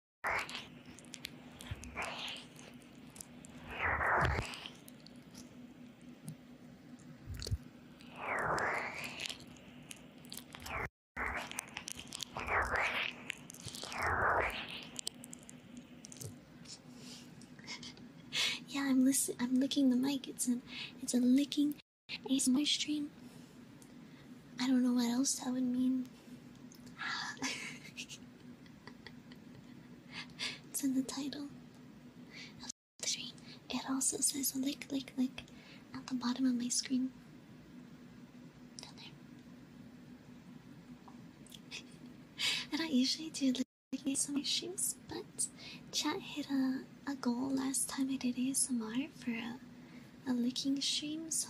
*laughs* yeah, I'm licking the mic. It's a licking ASMR stream. I don't know what else that would mean. *laughs* it's in the title of the stream. It also says lick, lick, lick at the bottom of my screen. Down there. *laughs* I don't usually do lick streams, but chat hit a, a goal last time I did ASMR for a licking stream, so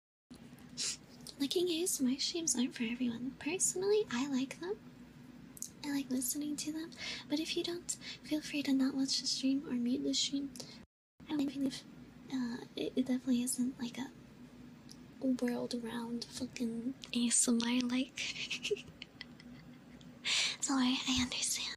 Looking at ASMR streams aren't for everyone. Personally, I like them. I like listening to them. But if you don't, feel free to not watch the stream or mute the stream. I don't believe uh, it, it definitely isn't like a world around fucking ASMR like. sorry, I understand.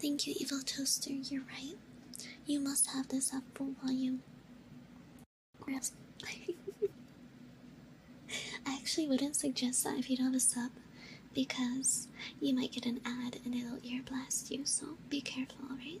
Thank you, Evil Toaster. You're right. You must have this at full volume. Grabs. *laughs* I actually wouldn't suggest that if you don't have a sub because you might get an ad and it'll ear blast you, so be careful, alright?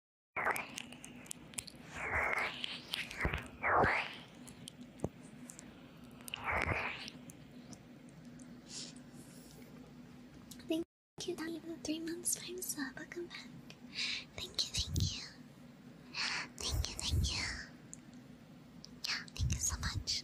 Thank you, Donnie, for the three months time So Welcome back. Thank you, thank you. Thank you, thank you. Yeah, thank you so much.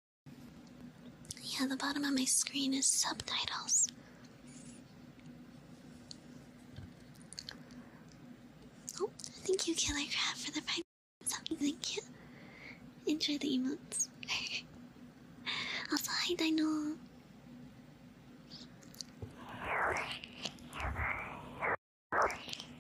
Yeah, the bottom of my screen is subtitles. Oh, thank you, Killer Crab, for the prime something. Oh, thank you. Enjoy the emotes. *laughs* I'll also, hi, Dino.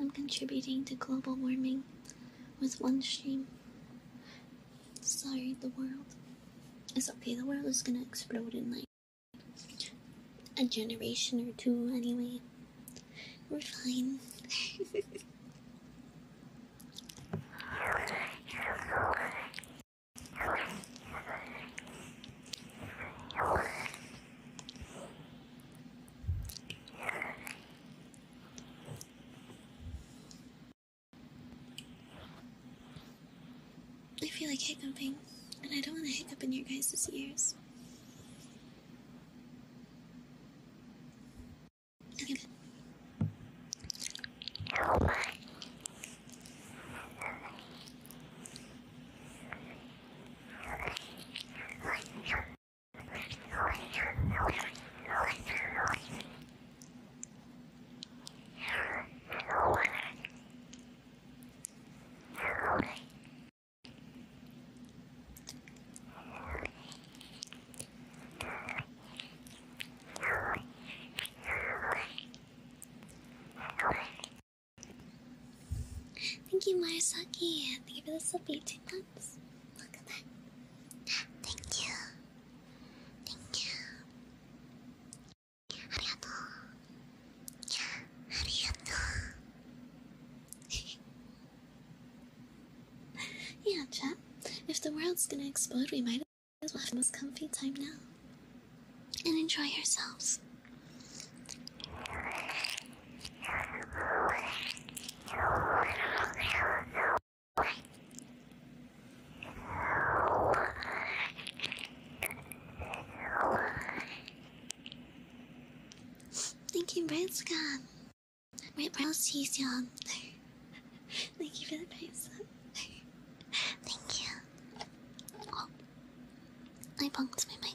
I'm contributing to global warming with one stream. Sorry, the world. It's okay, the world is gonna explode in like a generation or two anyway. We're fine. I feel like hiccuping, and I don't want to hiccup in your guys' ears. Thank you, Marasaki. Thank you for the subby two months. Look at that. Thank you. Thank you. *laughs* Yeah, chat. If the world's gonna explode, we might as well have the most comfy time now. And enjoy ourselves. Thank you, Bright Scott. My brows cheese on. Thank you for the price. Thank you. Oh, I bumped my mic.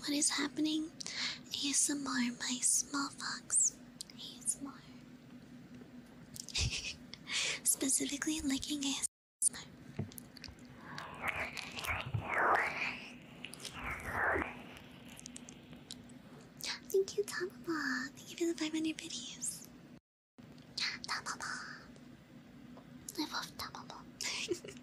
What is happening? ASMR my Small Fox. ASMR. *laughs* Specifically, licking ASMR. Thank you, Tamaba. Thank you for the 500 videos. Tamaba. I love Tamaba.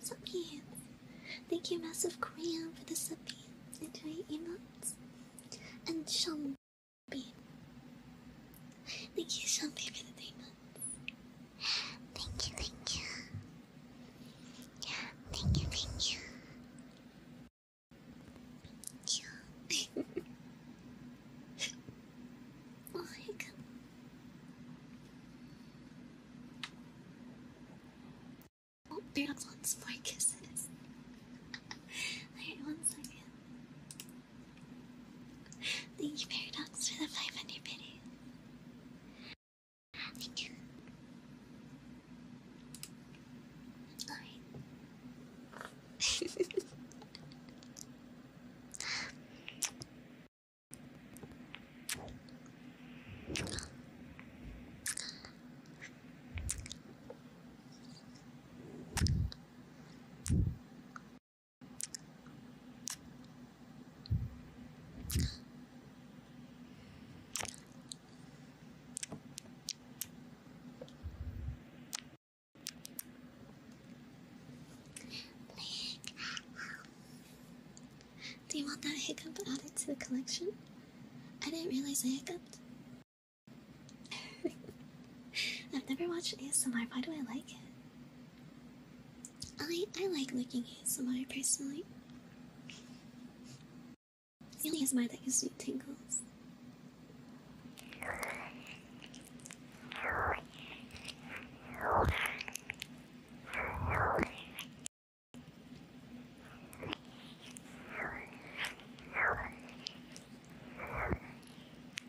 Subbeam! Thank you, Massive Korean, for the subbeam into your emotes. And Shum, Babe. Thank you so much for the three Thank you, thank you. Thank you, thank you. Thank *laughs* you. oh my god. Oh, Bear wants more kisses. Alright, *laughs* one second. Thank you, Paradox, for the 500 video. Thank you. Alright. Do you want that hiccup added to the collection? I didn't realize I hiccuped. *laughs* I've never watched ASMR. Why do I like it? I I like looking at ASMR personally. It's the only ASMR that gives me tingles.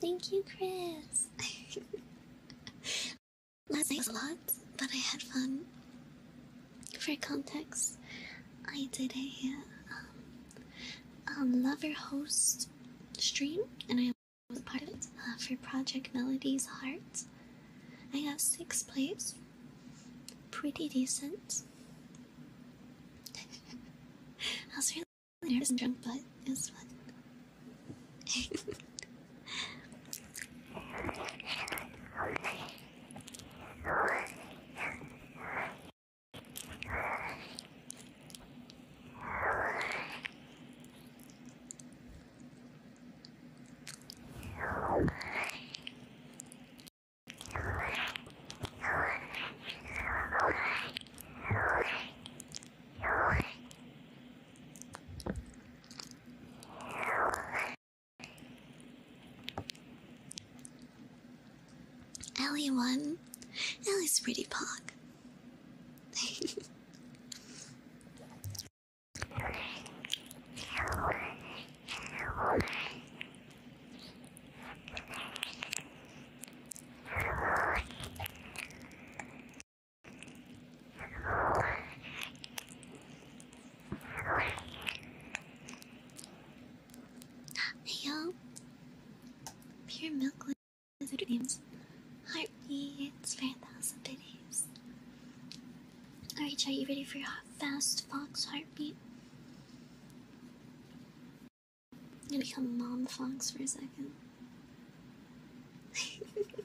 Thank you, Chris. That night a lot, but I had fun. For context, I did a um, um, lover host stream, and I was part of it uh, for Project Melody's Heart. I got sixth place pretty decent. *laughs* I was really nervous and drunk, but it was fun. Ellie won. Ellie's pretty punk. *laughs* Heyo, pure milk with names. Heartbeats for a thousand days. Alright, are you ready for your fast fox heartbeat? I'm gonna become Mom Fox for a second. *laughs* Alright.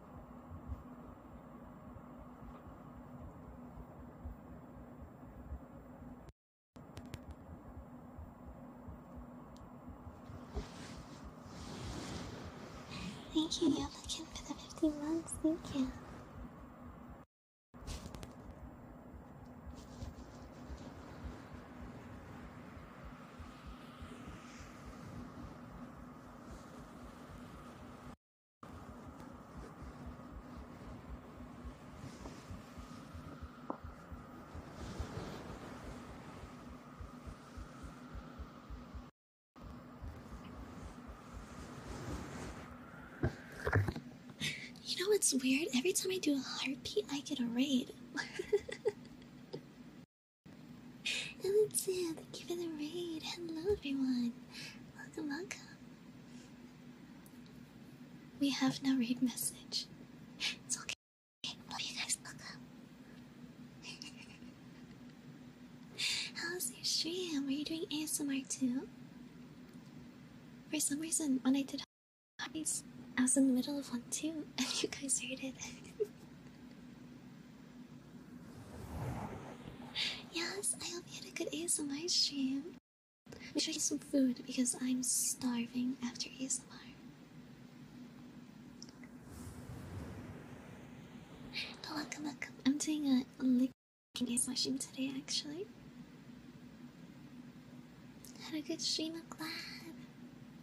Thank you, You're looking for the 50 months. Thank you. You know what's weird? Every time I do a heartbeat, I get a raid. *laughs* Alexia, thank you for the raid. Hello, everyone. Welcome, welcome. We have no raid message. It's okay. Love you guys. Welcome. *laughs* How's your stream? Are you doing ASMR too? For some reason, when I did hobbies, I was in the middle of one too, *laughs* and you guys heard it. *laughs* Yes, I hope you had a good ASMR stream. Make sure to get some food because I'm starving after ASMR. But oh, welcome, welcome. I'm doing a licking ASMR stream today, actually. Had a good stream, glad.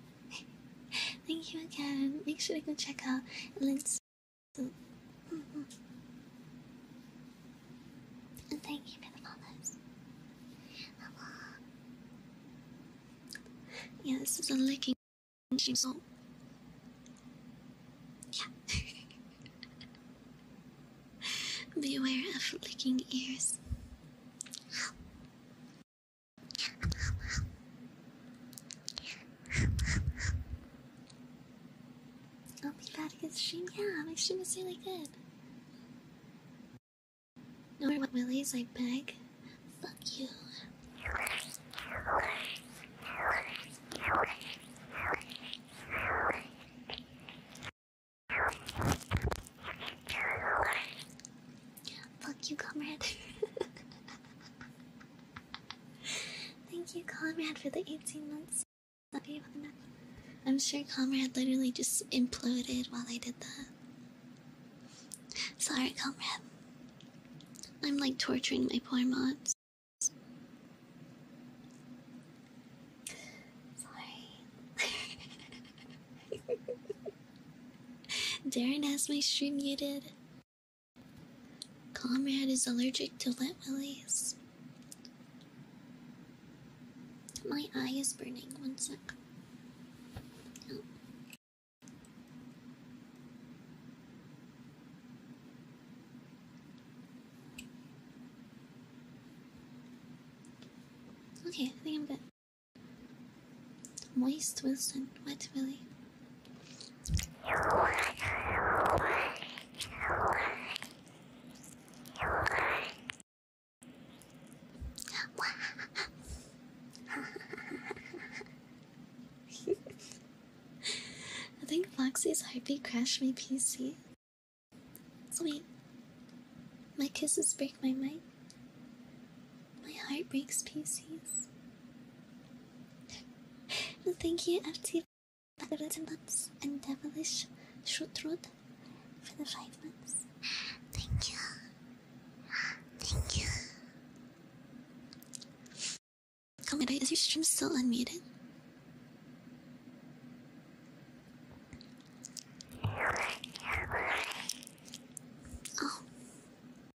*laughs* Thank you again. Make sure to go check out links. Mm mm-hmm. And thank you for the follows. Yeah, this is a licking so Yeah. *laughs* Beware of licking ears. I'll be back to get stream. Yeah, my stream is really good. No more willies, I beg. Fuck you. Fuck you, comrade. *laughs* Thank you, Comrade, for the 18 months. I'm sure Comrade literally just imploded while I did that. Sorry, Comrade. I'm like torturing my poor mods. Sorry. *laughs* Darren has my stream muted. Comrade is allergic to wet willies. My eye is burning. One sec. Okay, I think I'm good. Moist Wilson, wet Willie. *laughs* I think Foxy's heartbeat crashed my PC. Sweet. My kisses break my mind. My heart breaks pieces. Thank you, FT for the and Devilish Shutrud for the 5 months. Thank you. Thank you. Commander, oh is your stream still unmuted? Oh.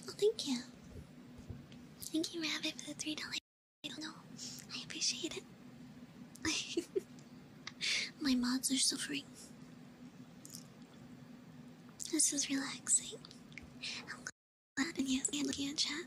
Oh, thank you. Thank you, Rabbit, for the $3. I don't know. I appreciate it. *laughs* My mods are suffering. This is relaxing. and yes, and looking chat.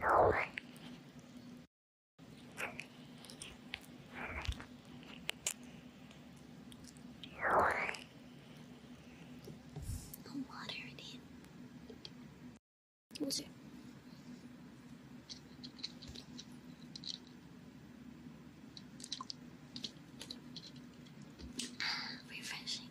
No water in him. Was Refreshing.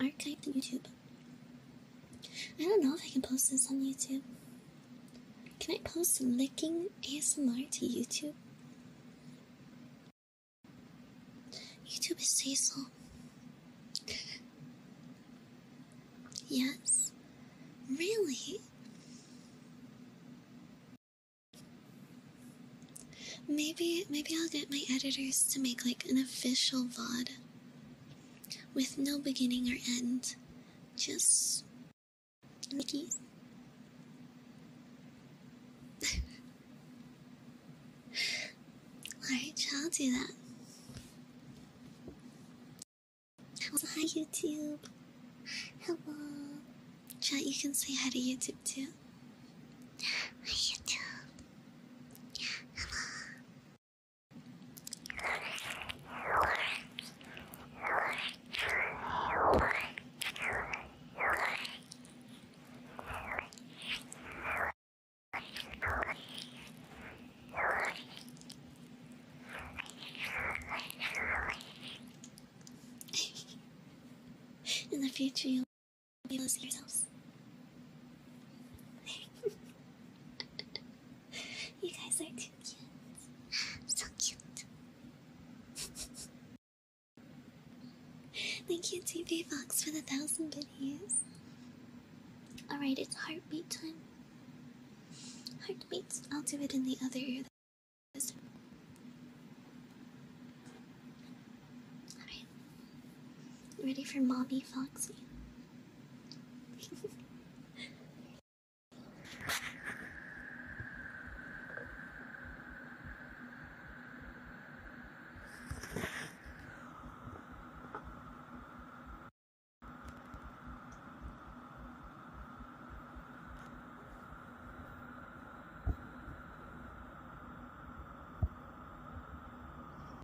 archived YouTube. I don't know if I can post this on YouTube. Can I post licking ASMR to YouTube? YouTube is Cecil. *laughs* yes? Really? Maybe maybe I'll get my editors to make like an official VOD with no beginning or end, just Mickey. *laughs* Alright, hi YouTube. Hello. Chat, you can say hi to YouTube too. *gasps* Hi YouTube. Hello. In the future, you'll be able yourselves. you guys are too cute. So cute. Thank you, TV Fox, for the thousand videos. Alright, it's heartbeat time. Heartbeats. I'll do it in the other ear. Ready for Mommy Foxy?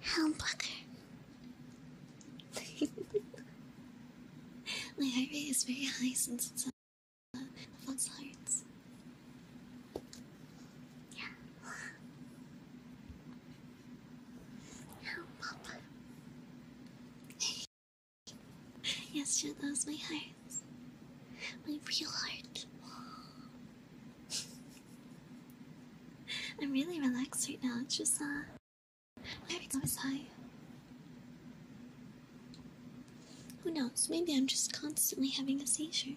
How bugger. *laughs* My heart rate is very high since it's uh, the false hearts. Yeah. Oh, Papa. *laughs* yes, she that my heart. My real heart. I'm really relaxed right now. It's just uh, everything was high. Who knows? Maybe I'm just constantly having a seizure.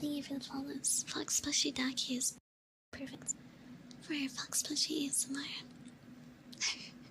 Thank you for the follows. Fox plushie Ducky is perfect for your Fox Plushy ASMR. *laughs*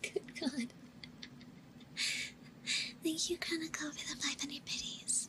*laughs* Good God. Thank you, Chronicle, for the 500 biddies.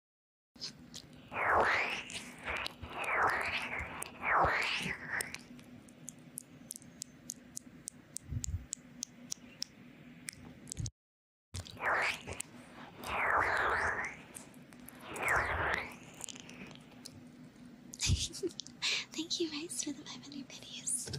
Thank you guys for the 500 videos.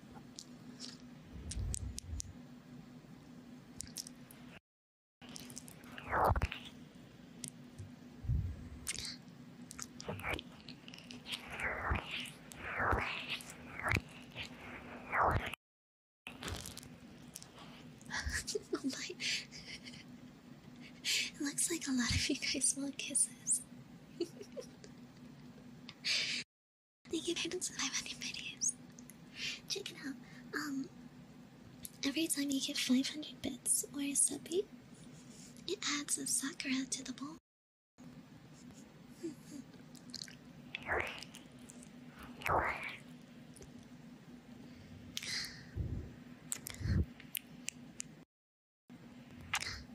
*laughs* oh my. It looks like a lot of you guys want kisses. *laughs* Thank you, Brandon, 500 videos. Check it out. Um, every time you get 500 bits or a subby, it adds a sakura to the bowl.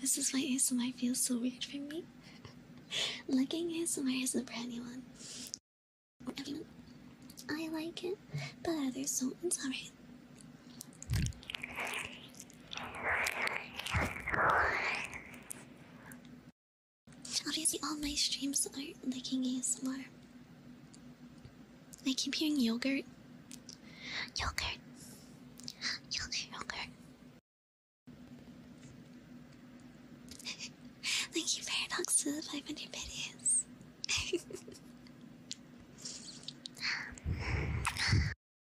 This is why ASMR feels so weird for me. Liking ASMR is a brand new one. I like it, but others don't. It's alright. Obviously, all my streams are not looking ASMR. I keep hearing yogurt. Yogurt. Yogurt, yogurt. *laughs* Thank you, Paradox, to the 500 videos. *laughs*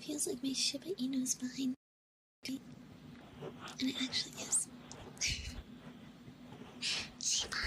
Feels like my Shiba Inu's behind me. And it actually is. Shiba. *laughs*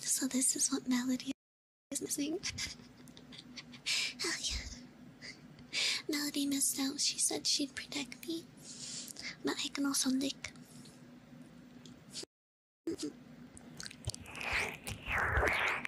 So this is what Melody is missing. *laughs* oh yeah. Melody missed out. She said she'd protect me. But I can also lick. *laughs*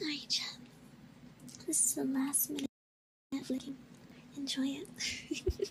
Alright, chat. This is the last minute flicking. Enjoy it.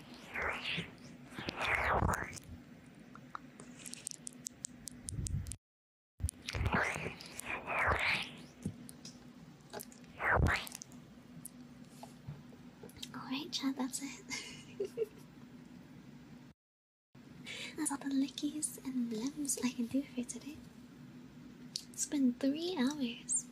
Alright, chat, that's it. *laughs* that's all the lickies and blems I can do for today. It's been three hours.